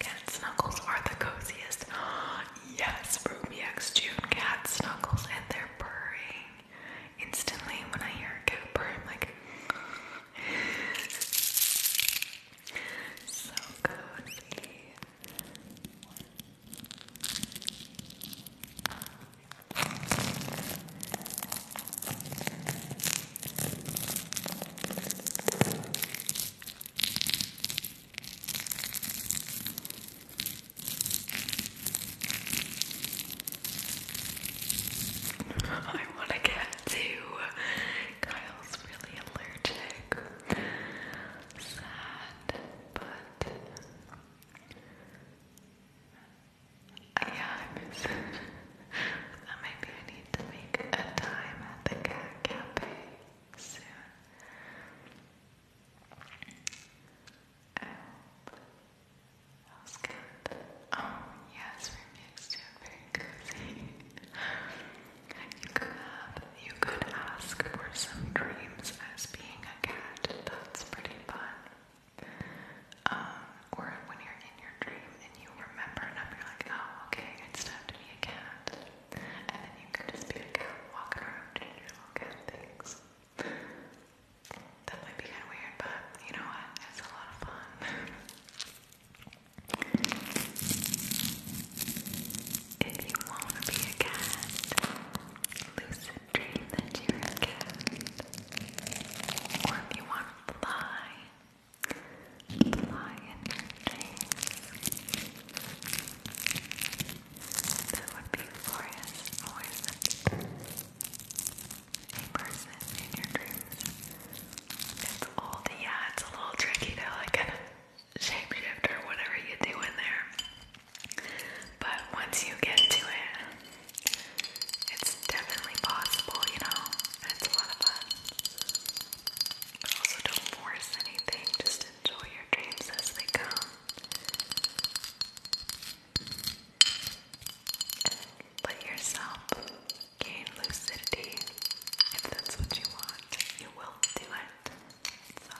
Cat snuggles are the coziest. (gasps) yes, Ruby X June cat snuggles and they're purring. Instantly, when I hear a cat purr, I'm like, (sighs) so cozy. (laughs) I want to get to. Kyle's really allergic. Sad, but yeah, I miss it. (laughs) maybe I need to make a time at the cat cafe soon. And that was good. Oh, yes, we mixed it very cozy. you could have, you could ask for some dreams as being a cat. That's pretty fun. Um, or when you're in your dream and you remember and up, you're like, oh, okay, it's time to be a cat. And then you can just be a walking around doing your little cat things. That might be kind of weird, but you know what? It's a lot of fun. if you want to be a cat, lucid dream that you're a cat. Or if you want to fly, lie in your dreams. That would be glorious for a person in your dreams. It's old, yeah, it's a little tricky to like kind of or whatever you do in there. But once you get to it, it's definitely possible, you know? It's a lot of fun. Also, don't force anything, just enjoy your dreams as they come. Let yourself gain lucidity. If that's what you want, you will do it. So.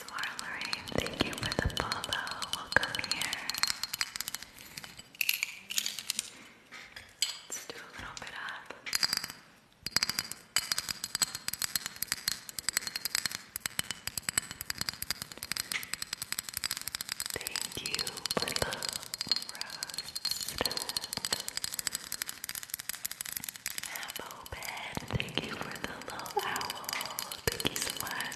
Swirl Lorraine, thank you for the follow. Welcome here. Let's do a little bit up. Thank you for the roast. Have open. Thank you for the little owl. Thank you so much.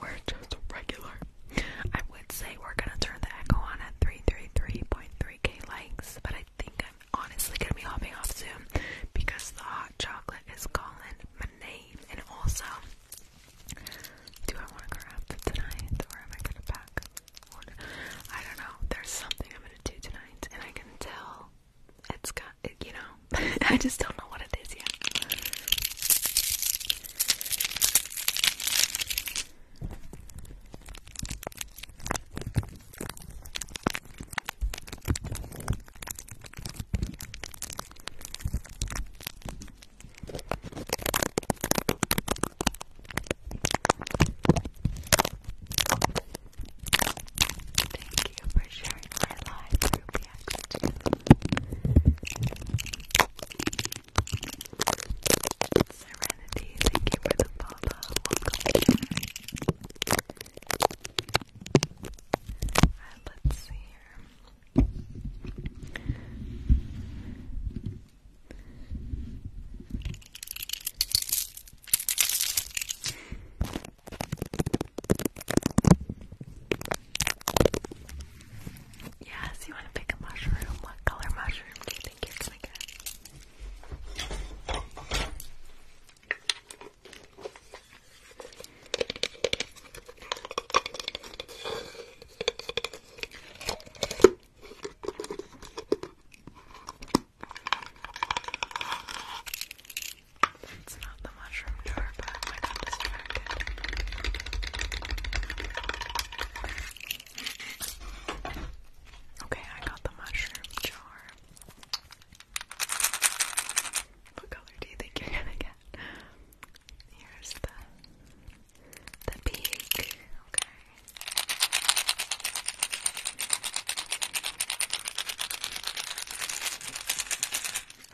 we're just regular. I would say we're gonna turn the echo on at 333.3k likes, but I think I'm honestly gonna be hopping off soon because the hot chocolate is calling my name, and also, do I want to grab for tonight or am I gonna pack? I don't know. There's something I'm gonna do tonight, and I can tell it's got, you know, (laughs) I just don't know what it is yet. Thank you for sharing my live group reaction. Serenity, thank you for the follow. Welcome. Alright, let's see here. Yes, you want to pick a mushroom. What color mushroom do you think it's It's not the mushroom door, but I got distracted. Okay, I got the mushroom jar. What color do you think you're gonna get? Here's the the peak. Okay.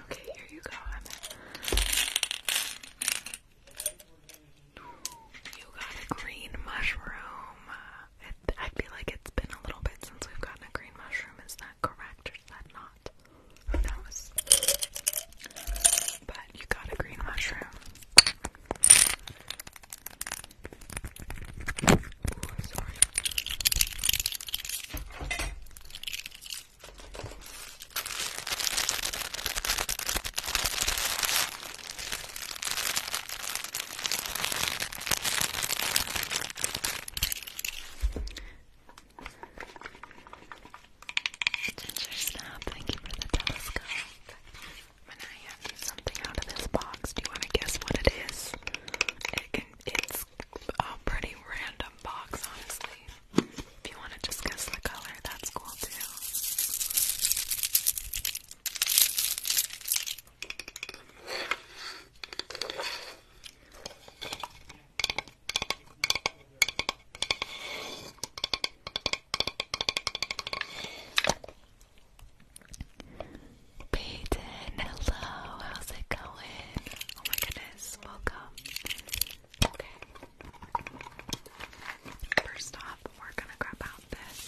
Okay, here you go. You got a green mushroom. I feel like it's been a little bit since we've gotten a green mushroom. Is that correct or is that not? Who knows? But you got a green mushroom. sorry. Ginger Snap, thank you for the telescope. When I have something out of this box, do you want to guess what it is? it's a pretty random box, honestly. If you want to discuss the color, that's cool too. Peyton, hello, how's it going? Oh my goodness, welcome. Okay. First off, we're gonna grab out this.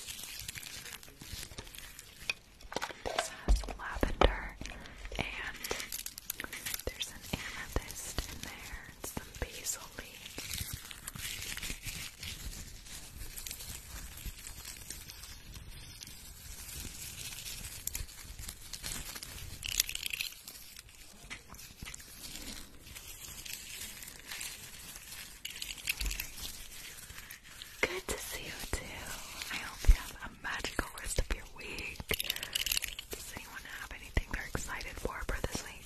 This has lavender and there's an amethyst in there and some basil leaves. Good to see you too. I hope you have a magical rest of your week. Does anyone have anything they're excited for for this week?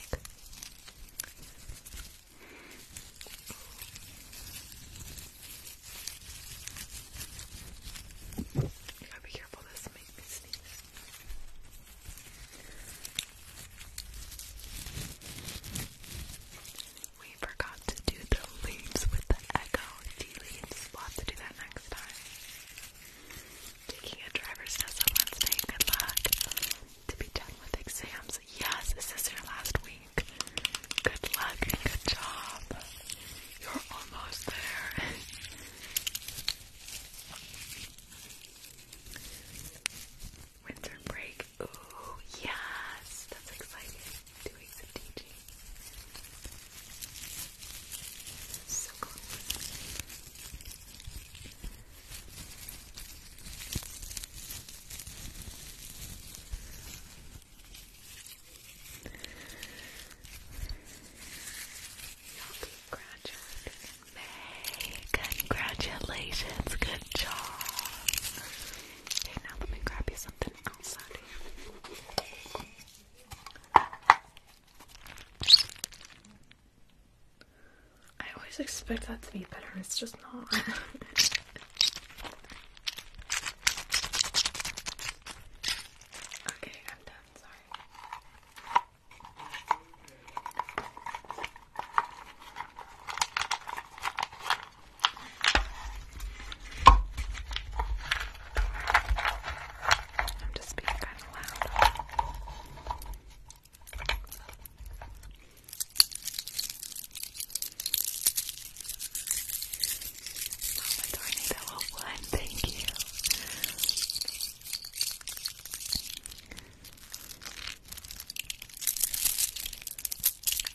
gotta be careful, this makes me sneeze. We forgot to do the leaves with the echo tea to do that next time. Taking a driver's test on Wednesday. Good luck. To be done with exams. Yes, this is your last week. Good luck and good job. You're almost there. (laughs) Winter break. Ooh, yes. That's exciting. Two weeks of teaching. So close. Y'all be May. Congratulations. Good job. Okay, now let me grab you something else I always expect that to be better, it's just not. (laughs) okay, I'm done, sorry. I'm just being kind of loud. Mama Tornado one, thank you.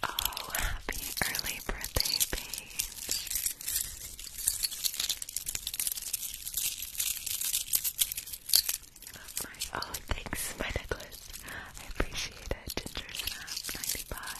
Oh, happy early birthday, Paige. Oh, thanks, my necklace. I appreciate it. Ginger Snap 95.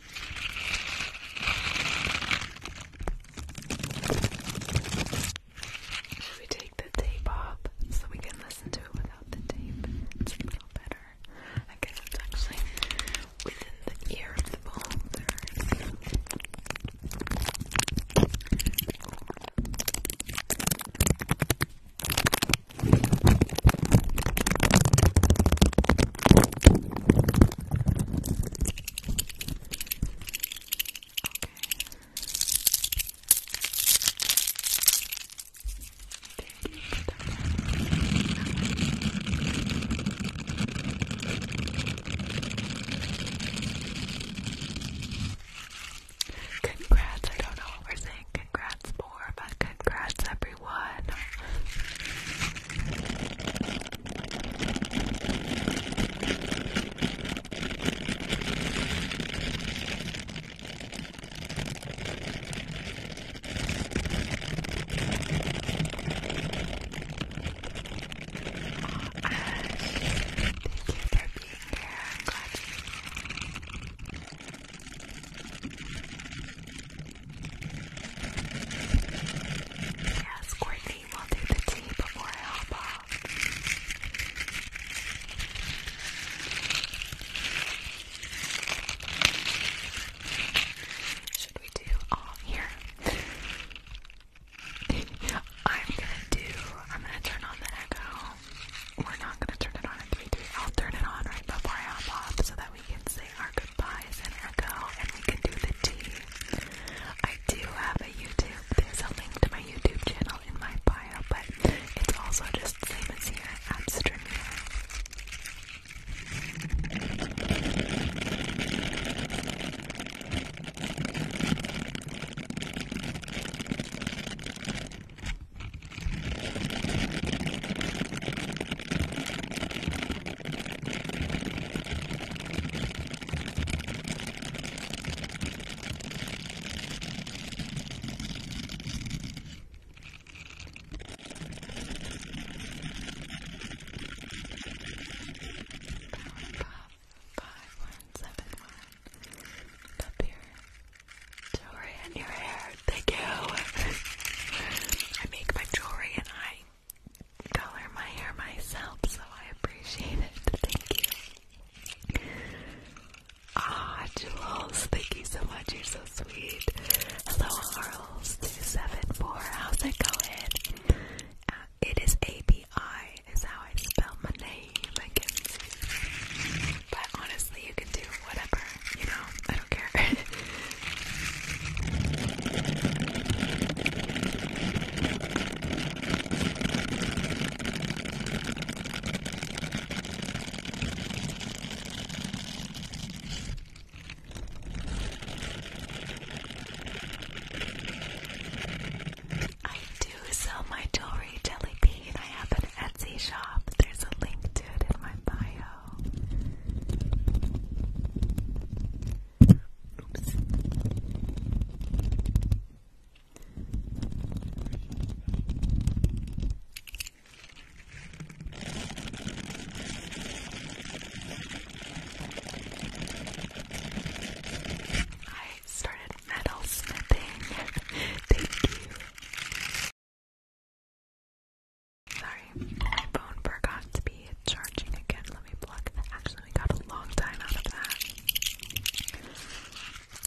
Should we take the tape off so we can listen to it without the tape? It's a little better. I guess it's actually within the ear of the beholder. Congrats, I don't know what we're saying. Congrats but congrats everyone. Ash, thank you for being here. Yes, Courtney will do the tea before I hop off. Should we do all here? (laughs) I'm gonna do, I'm gonna turn on the echo. We're not gonna turn it on at 3 3. I'll turn it on right before I hop off so that we can sing our good goodbyes and echo, and we can do the tea. I do have a YouTube. There's a link to my YouTube channel in my bio, but it's also just the same as here at Streamyard. Five one seven one up here. Jewelry in your hair. Thank you. (laughs) I make my jewelry and I color my hair myself, so I appreciate it. Thank you. Ah, Jules, thank you so much. You're so sweet. Hello, Arles274. How's it going? Uh, it is ABI, is how I spell my name. But honestly, you can do whatever you know, I don't care. (laughs) I do sell my jewelry, Jelly I have an Etsy shop. There's a link to it in my bio. I started metal smithing. (laughs) Thank you. Sorry, my phone forgot to be charging again. Let me plug Actually, we got a long time out of that.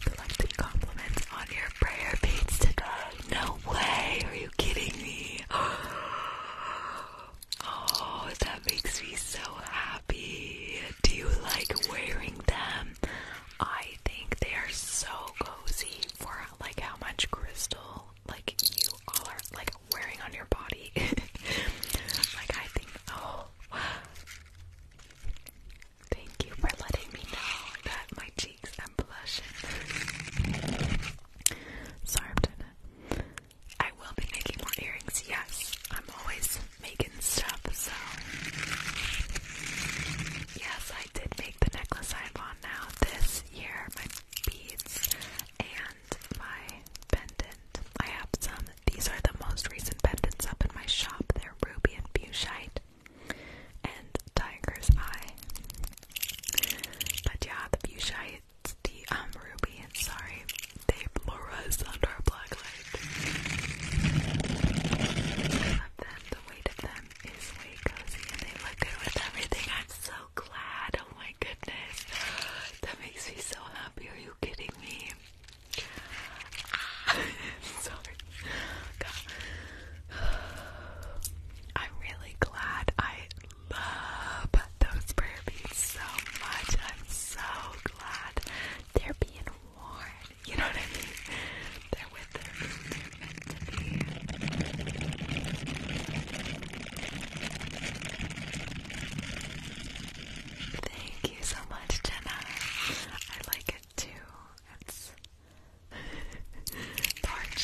Collecting compliments on your prayer beads today. No way! Are you kidding me? (gasps) Oh, that makes me so happy. Do you like wearing them? I think they are so cozy for like how much crystal like you all are like wearing on your body. (laughs) like I think oh thank you for letting me know that my cheeks am blushing. Sorry I'm trying I will be making more earrings, yes. I'm always making stuff, so yes, I did make the necklace I have on now this year. My beads and my pendant. I have some. These are the most recent pendants up in my shop. They're ruby and fuchsite and tiger's eye. But yeah, the fuchsite, the um ruby, sorry, they fluoresce under a black light. I then The weight of them is way cozy and they look good with everything. I'm so glad my goodness. That makes me so happy. Are you kidding me? (laughs) Sorry. I'm really glad I love those prayer beads so much. I'm so glad they're being worn. You know what I mean? They're with them. they Thank you so much, Jenna. I like it too. It's (laughs) dark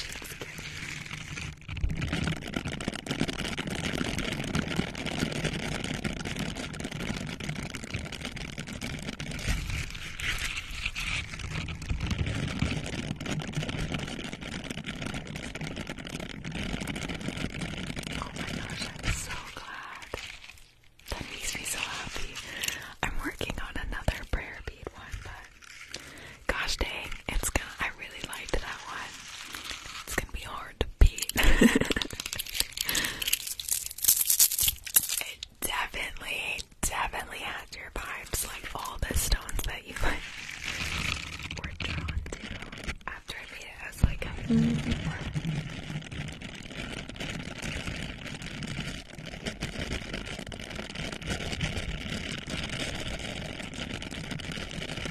Oh my gosh, I'm so glad. That makes me so happy. I'm working on another prayer bead one, but gosh dang, it's gonna I really liked that one. It's gonna be hard to beat. (laughs) it definitely, definitely has your vibe like all the stones that you like were drawn to. After I made it, I like, i -hmm.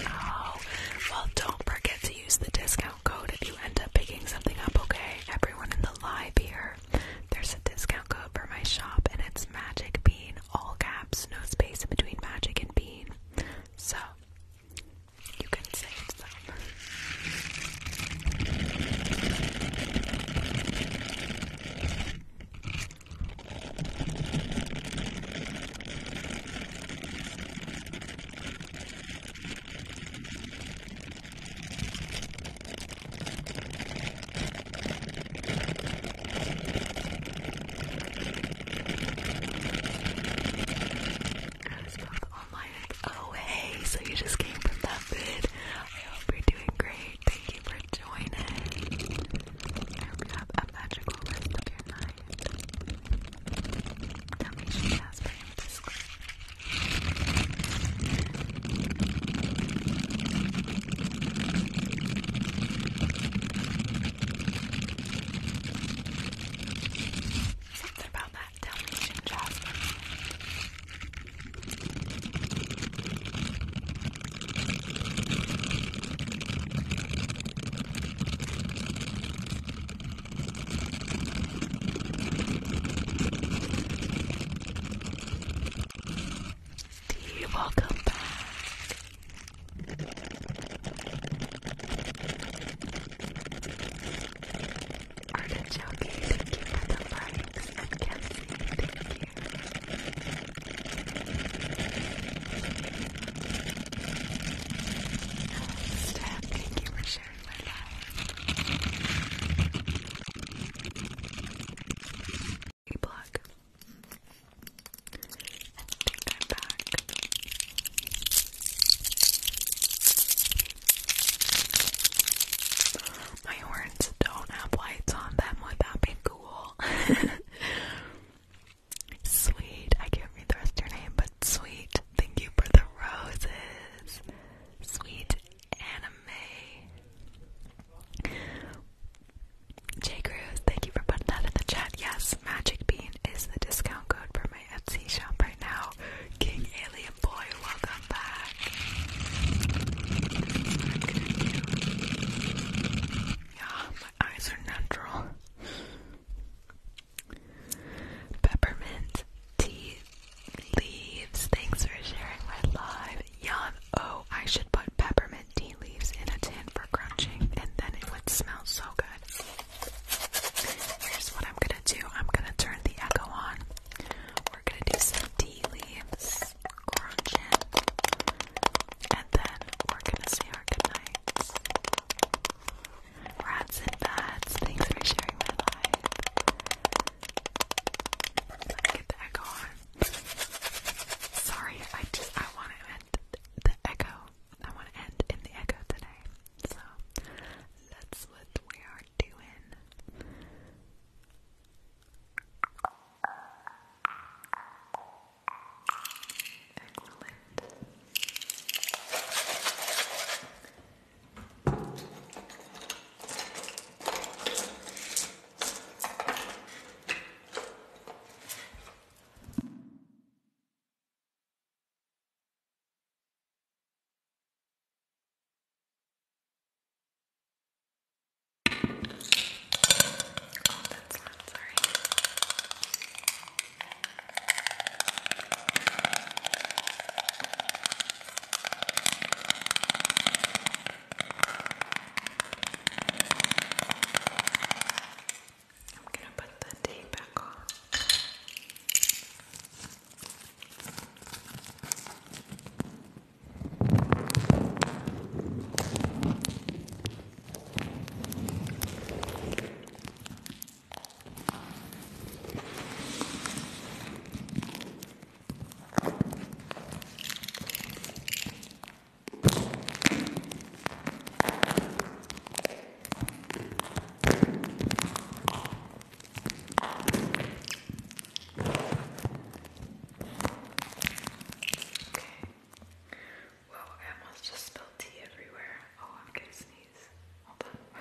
Oh, well, don't forget to use the discount code if you end up picking something up, okay? Everyone in the live here, there's a discount code for my shop, and it's Magic Bean all caps, no space in between Magic and Bean. So, you can say it's oh hey, so you just came from that vid. I hope you're doing great. Thank you for joining. I have a magical rest of your night. Tell me she has been in this clip. Something about that Dalmatian jasmine. Steve, welcome back. Artichoke, thank you for the likes. And Kenzie, thank thank you for sharing my life black. I I'm back. My horns don't have lights on them. Would that be cool? (laughs) sweet. I can't read the rest of your name, but sweet. Thank you for the roses. Sweet anime. Jay Cruz, thank you for putting that in the chat. Yes, Magic Bean is the discount code for my Etsy shop right now. King Alien Boy, welcome back. Yeah, my eyes are natural. Peppermint tea leaves. Thanks for sharing my live. Yum. Oh, I should put peppermint tea leaves in a tin for crunching, and then it would smell so good. Here's what I'm gonna do I'm gonna turn the echo on. We're gonna do some tea leaves, crunching, and then we're gonna say our goodnights. Rats and bats, thanks for sharing my life. Let's get the echo on. Sorry, I just I wanted the echo. I want to end in the echo today. So that's what we are doing. Excellent. Oh, that's loud, sorry. I'm gonna put the tape back on. Whoa, I almost just spilled tea everywhere. Oh, I'm gonna sneeze. Hold on.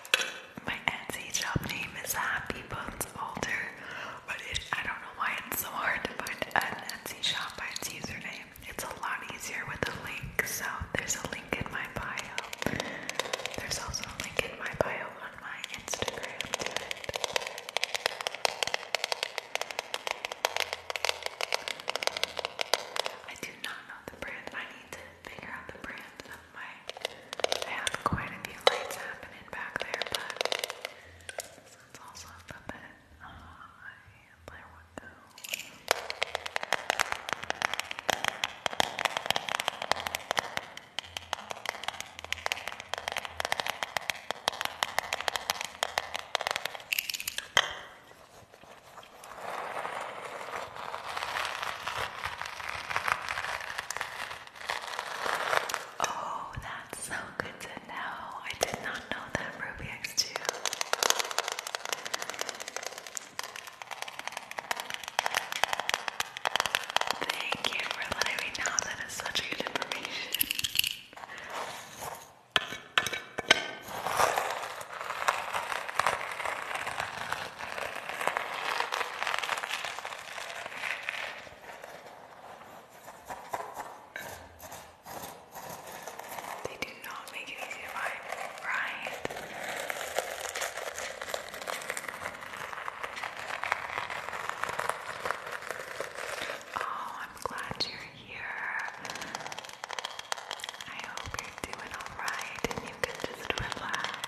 My Etsy shop name is Happy Bones Alter, but it, I don't know why it's so hard to find an Etsy shop by its username. It's a lot easier with a link, so there's a link in my bio. There's also a link in my bio on my Instagram I do not know the brand. I need to figure out the brand my, I have quite a few lights happening back there, but this also up a bit high, oh, there Oh, that's so good to know. I did not know that, Ruby x Thank you for letting me know. That is such good information. They do not make it easy to find, right? Oh, I'm glad you're here. I hope you're doing alright and you can just relax.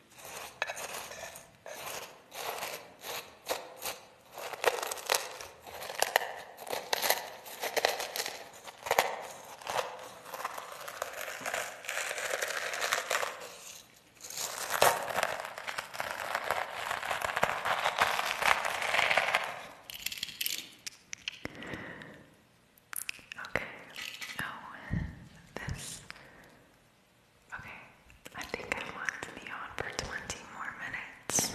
Okay. Oh, this Okay, I think I want to be on for 20 more minutes.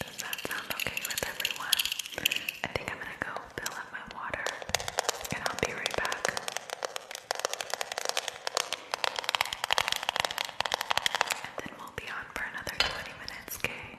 Does that sound okay with everyone? I think I'm gonna go fill up my water and I'll be right back. And then we'll be on for another 20 minutes, okay?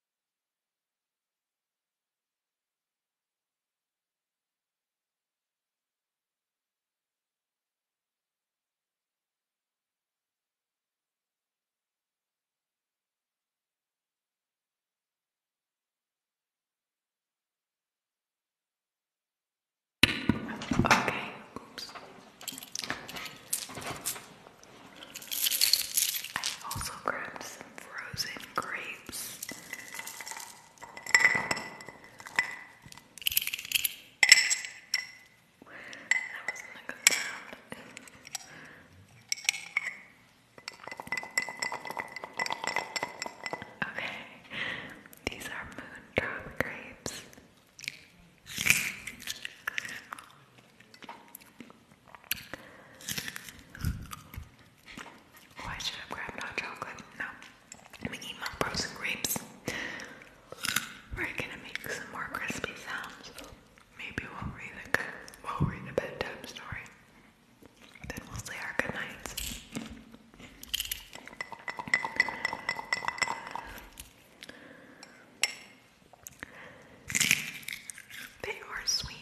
Okay, oops. I also grabbed frozen grapes. That was a good sound. okay, these are moondrop grapes. Why should I grab not chocolate? No. i eat frozen grapes. We're gonna make some more crispy sounds. Maybe we'll read a, bedtime story. Then we'll say our good They are sweet.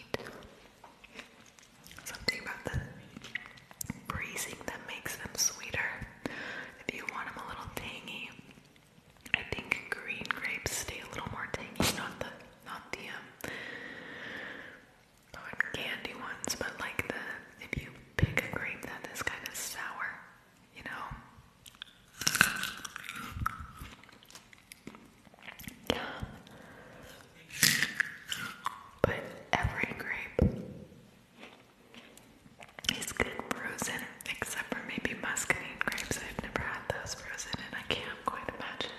Something about the greasing that makes them sweeter. If you want them a little tangy, I think green grapes stay a little more tangy, not the not the um, not candy ones, but like the if you pick a grape that is kind of sour, you know. But every grape is good frozen, except for maybe muscadine grapes. I've never had those frozen, and I can't quite imagine.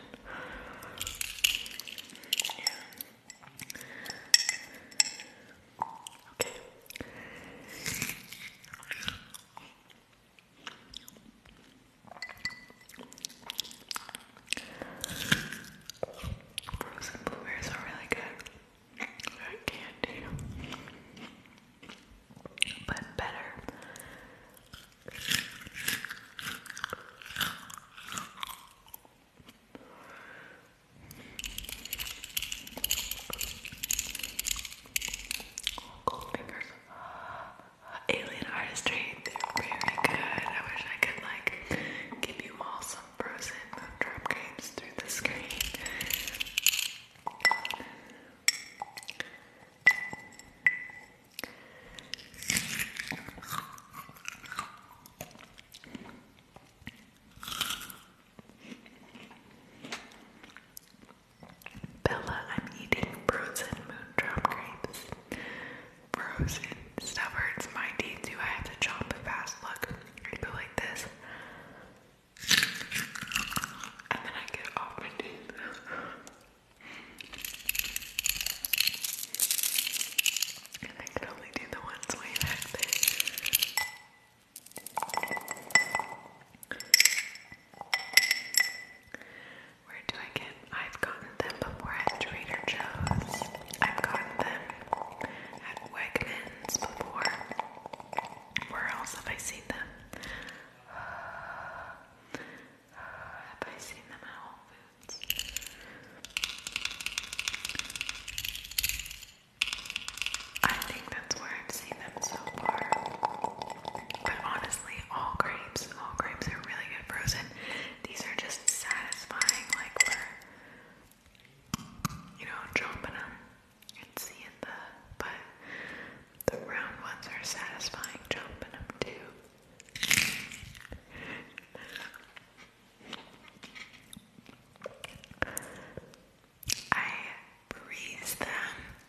Frozen blueberries are really good. They're candy. But better. Cold fingers. Alien artistry, they're very good. I wish I could like give you all some frozen drop games through the screen. Bella, I'm eating frozen moondrop grapes frozen stuff my teeth too. I have to chomp it fast. Look, I go like this, and then I get it my teeth. and I can only do the ones way back there. Where do I get? I've gotten them before at Trader Joe's. I've gotten them at Wegmans before. Where else have I seen them? (sighs) have I seen them at Whole Foods? I think that's where I've seen them so far. But honestly, all grapes, all grapes are really good frozen. (laughs) these are just satisfying, like we're, you know, dropping them and seeing the, but the round ones are satisfying, dropping them too. I freeze them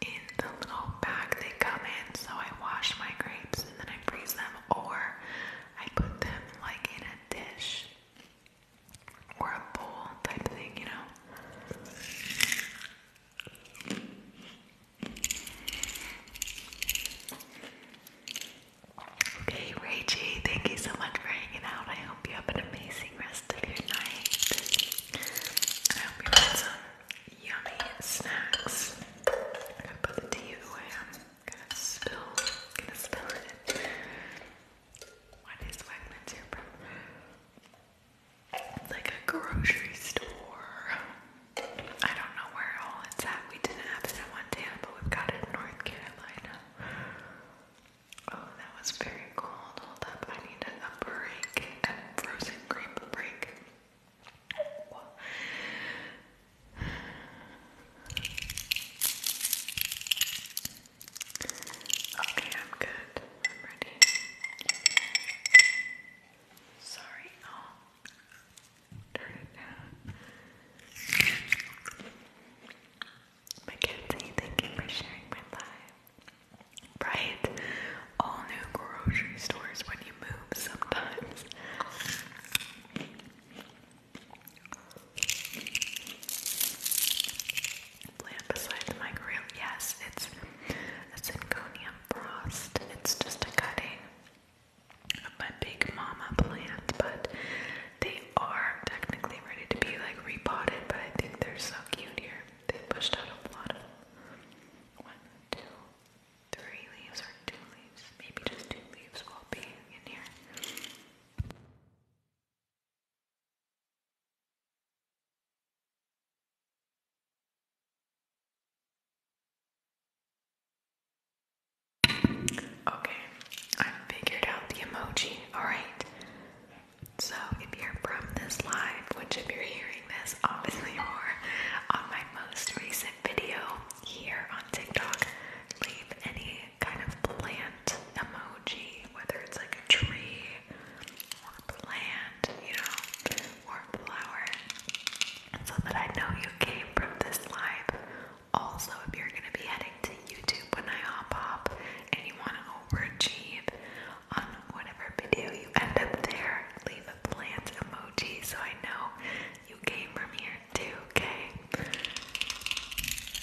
in the little bag they come in, so I wash my grapes and then I freeze them, or I put them like in a dish or a bowl type thing, you know. Okay, Rachie, thank you so much for hanging out. I hope you have an amazing rest of your night. I hope you had some yummy snacks. I'm gonna put the tea away gonna spill, gonna spill it. What is Wegmans here from? It's like a grocery store. I don't know where all it's at. We didn't have it in Montana, but we've got it in North Carolina. Oh, that was very cold. Hold up, I need a break, a frozen grape break. Okay, I'm good. I'm ready. Sorry, i turn it down. Mackenzie, thank you for sharing my life. Right? All new grocery stores when you move sometimes. Plant beside the microwave. Yes, it's a Synconium frost. It's just a cutting of my big mama plant, but they are technically ready to be like repotted, but I think they're so cute here. They pushed out a lot of One, two, three leaves or two leaves. Maybe just two leaves will be in here. Okay, I figured out the emoji, alright? So, if you're from this live, which if you're hearing this, obviously you are, on my most recent video, here on TikTok leave any kind of plant emoji, whether it's like a tree or plant, you know, or flower, so that I know you came from this live. Also, if you're going to be heading to YouTube when I hop up and you want to overachieve on whatever video you end up there, leave plant emoji so I know you came from here too, okay?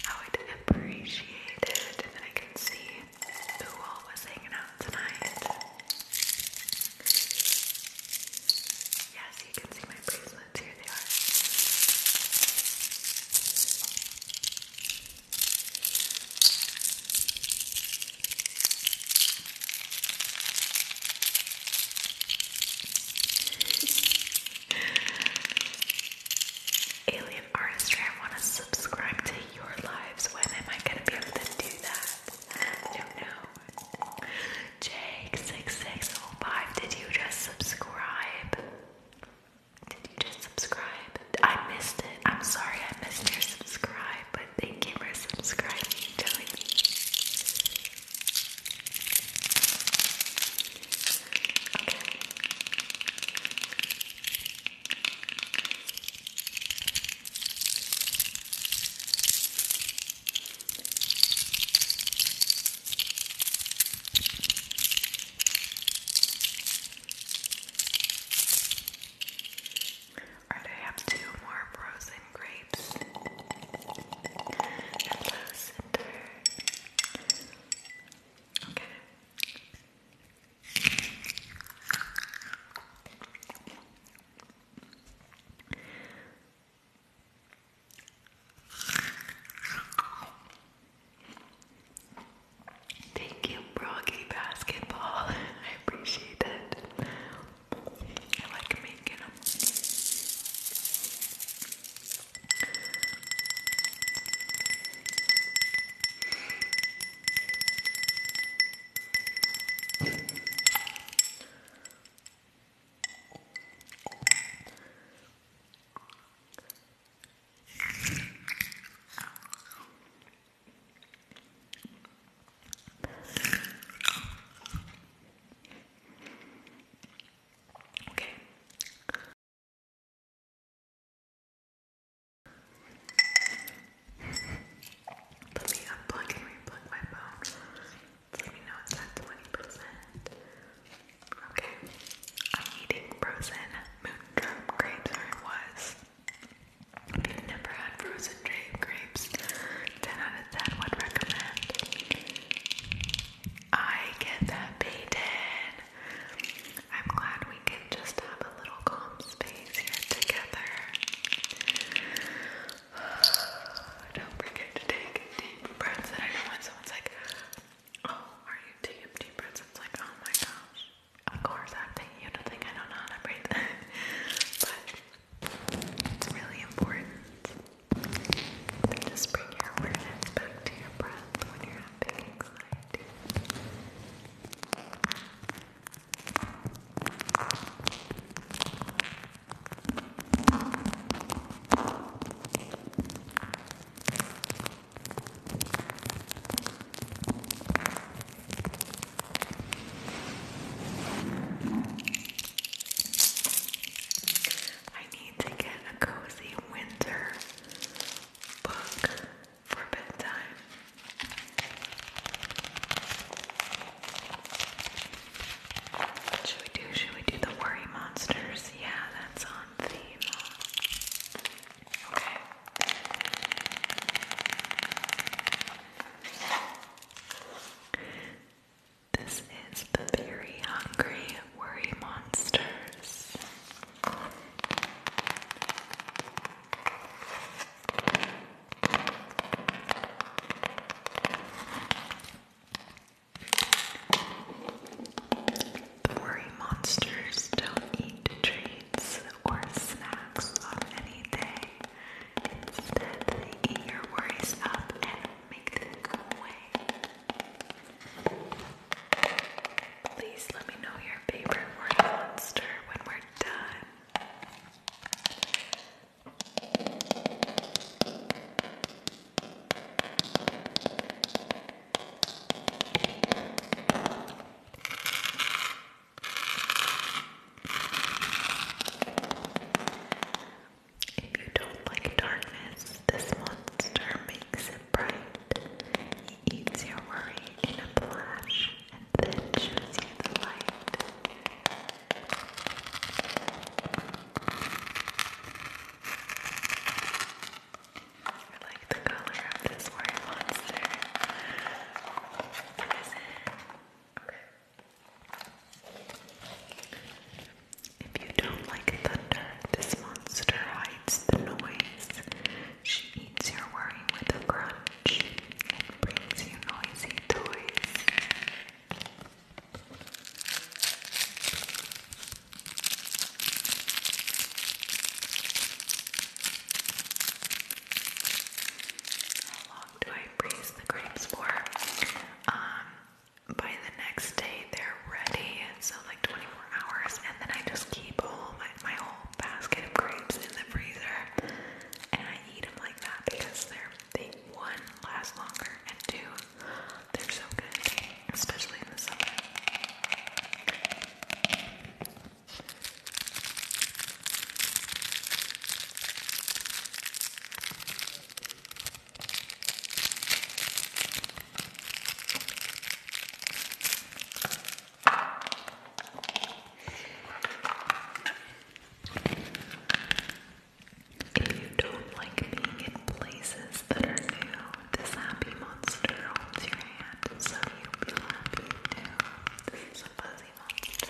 I would appreciate it if I can see who all was hanging out tonight. Yes, you can see my bracelets. Here they are. Alien artistry, I want to subscribe to your lives. When am I going to be able to do that? I do Jake6605, did you just subscribe? Did you just subscribe? I missed it. I'm sorry I missed your subscribe, but thank you for subscribing. Telling Alright, I have two more pros grapes and lavender. Okay. Thank you, Broggy Basketball. (laughs) I appreciate it. I like making them. Okay. Let me unplug and replug my phone. Let me know it's at 20%. Okay. I'm eating frozen moondrop grapes, or it was. never had frozen grape grapes, 10 out than would recommend. I get that, Peyton. I'm glad we can just have a little calm space here together. (sighs) Don't forget to take deep breaths. I like, "Oh, are you taking deep breaths?" It's like, "Oh my gosh." Of course, I'm taking you to think I don't know how to breathe, (laughs) It's really important to just bring your awareness back to your breath when you're having anxiety. I need to get a cozy winter book for bedtime. should we do? Should we do the worry monsters? Yeah, that's on theme. Okay. This is the Very Hungry Worry Monsters. The worry monsters don't eat treats or snacks on any day. Instead, they eat your worries up make them Please let me know your favorite word monster when we're done. If you don't like darkness, this monster makes it bright. He eats your worry in a flash and then shows you the light. I like the color of this worry monster. What is it? If you don't like thunder, this monster hides the noise. She eats your worry with a crunch and brings you noisy toys. How long do I freeze the grapes for? Um, by the next day they're ready, so like 24 hours, and then I just keep all my, my whole basket of grapes in the freezer, and I eat them like that because they're they one last longer, and two, they're so good, especially in the summer. If you don't like being in places that are new, this happy monster holds your hand, so you'll be happy too. This is a fuzzy monster.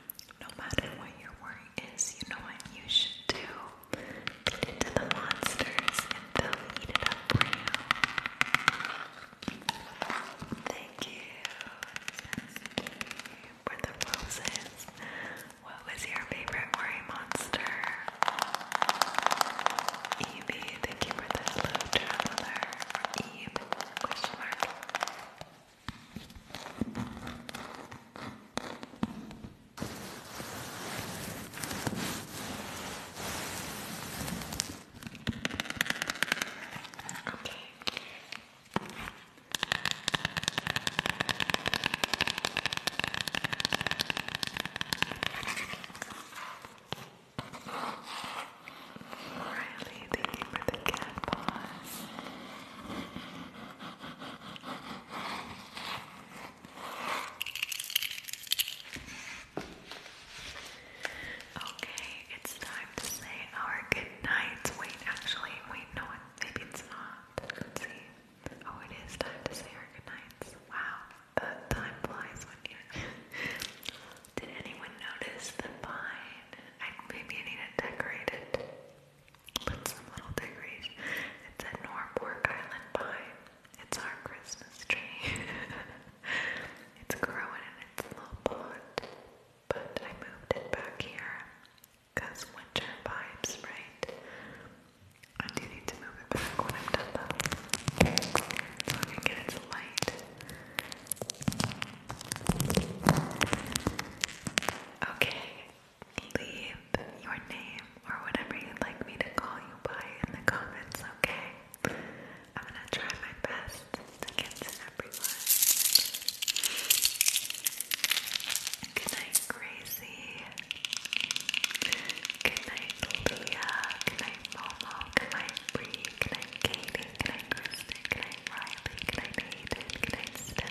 no matter what your worry is, you know what you should do. Get into the monsters and they'll eat it up for you. Thank you for the roses. What was your favorite worry monster? Evie, thank you for the hello traveler. Eve, question mark. Okay. Riley, thank you for the cat paws. Okay, it's time to say our good nights. Wait, actually, wait, no, maybe it's not. Oh, it is time to say our good Wow, time flies when you (laughs) Did anyone notice the vine? maybe I need to decorate it. It's some little decoration. It said Norfolk Island Pine. It's our Christmas tree. (laughs) it's growing in its little pot, but I moved it back here winter vibes, right? I do need to move it back when I'm done though. So I can get its light. Okay, leave your name or whatever you'd like me to call you by in the comments, okay? I'm gonna try my best to get to everyone. Good night, Gracie. Good night, Leah. Good night, Momo. Good night, Bree. Good night, Katie. Good night, Kristen. Good night, Riley. Good night, Hayden. Good night,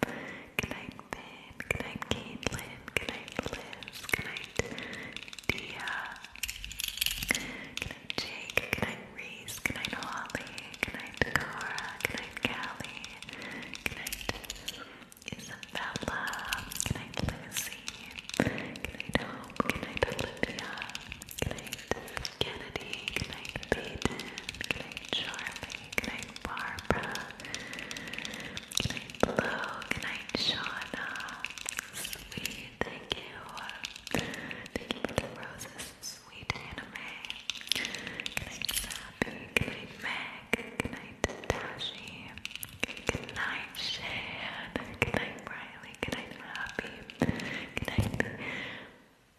Good night, Ben. Good Caitlin. Good Liz. Good Dia. Good Jake. Good Reese. Good Holly. Good night, Cara. Callie. Good Isabella. Good Lucy. Good night, Hope. Olivia. Good Kennedy, good Peyton, good Charlie, good Barbara, good night Blue, Shauna, sweet, thank you, thank you roses, sweet anime, good night Sappy, Meg, good night Tashi, good night Riley, good Happy, good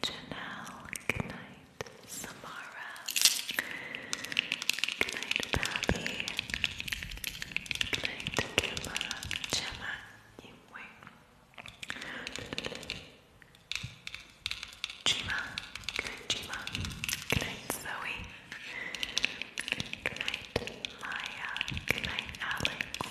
Janelle. Good Samara. Good night, Bobby. Good night, Gemma. Gemma, you Zoe. Good Maya. Good night, Alex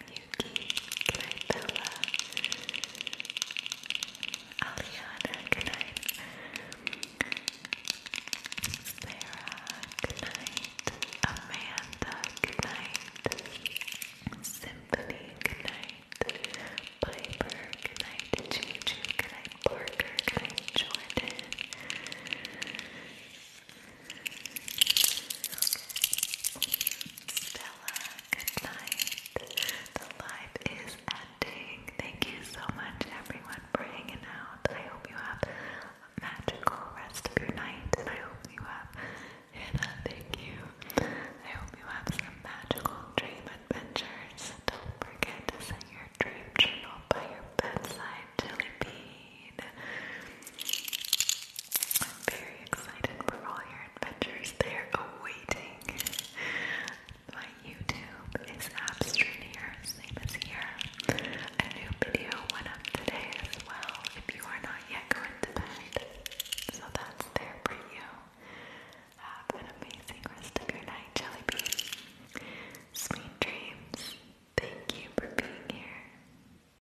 Yuki, good Bella, Aliana, good Sarah, good Amanda, good night, Symphony, good night, Juju, good Parker, good Jordan. Stella, good night. The live is ending. Thank you so much, everyone, for hanging out. I hope you have a magical rest of your night, and I hope you have Hannah. Thank you. I hope you have some magical dream adventures. Don't forget to set your dream journal by your bedside, Jelly I'm very excited for all your adventures. They're awaiting. My YouTube is abstract here, same as here. A new video went up today as well if you are not yet going to bed. So that's there for you. Have an amazing rest of your night, Jellybean. Sweet dreams. Thank you for being here.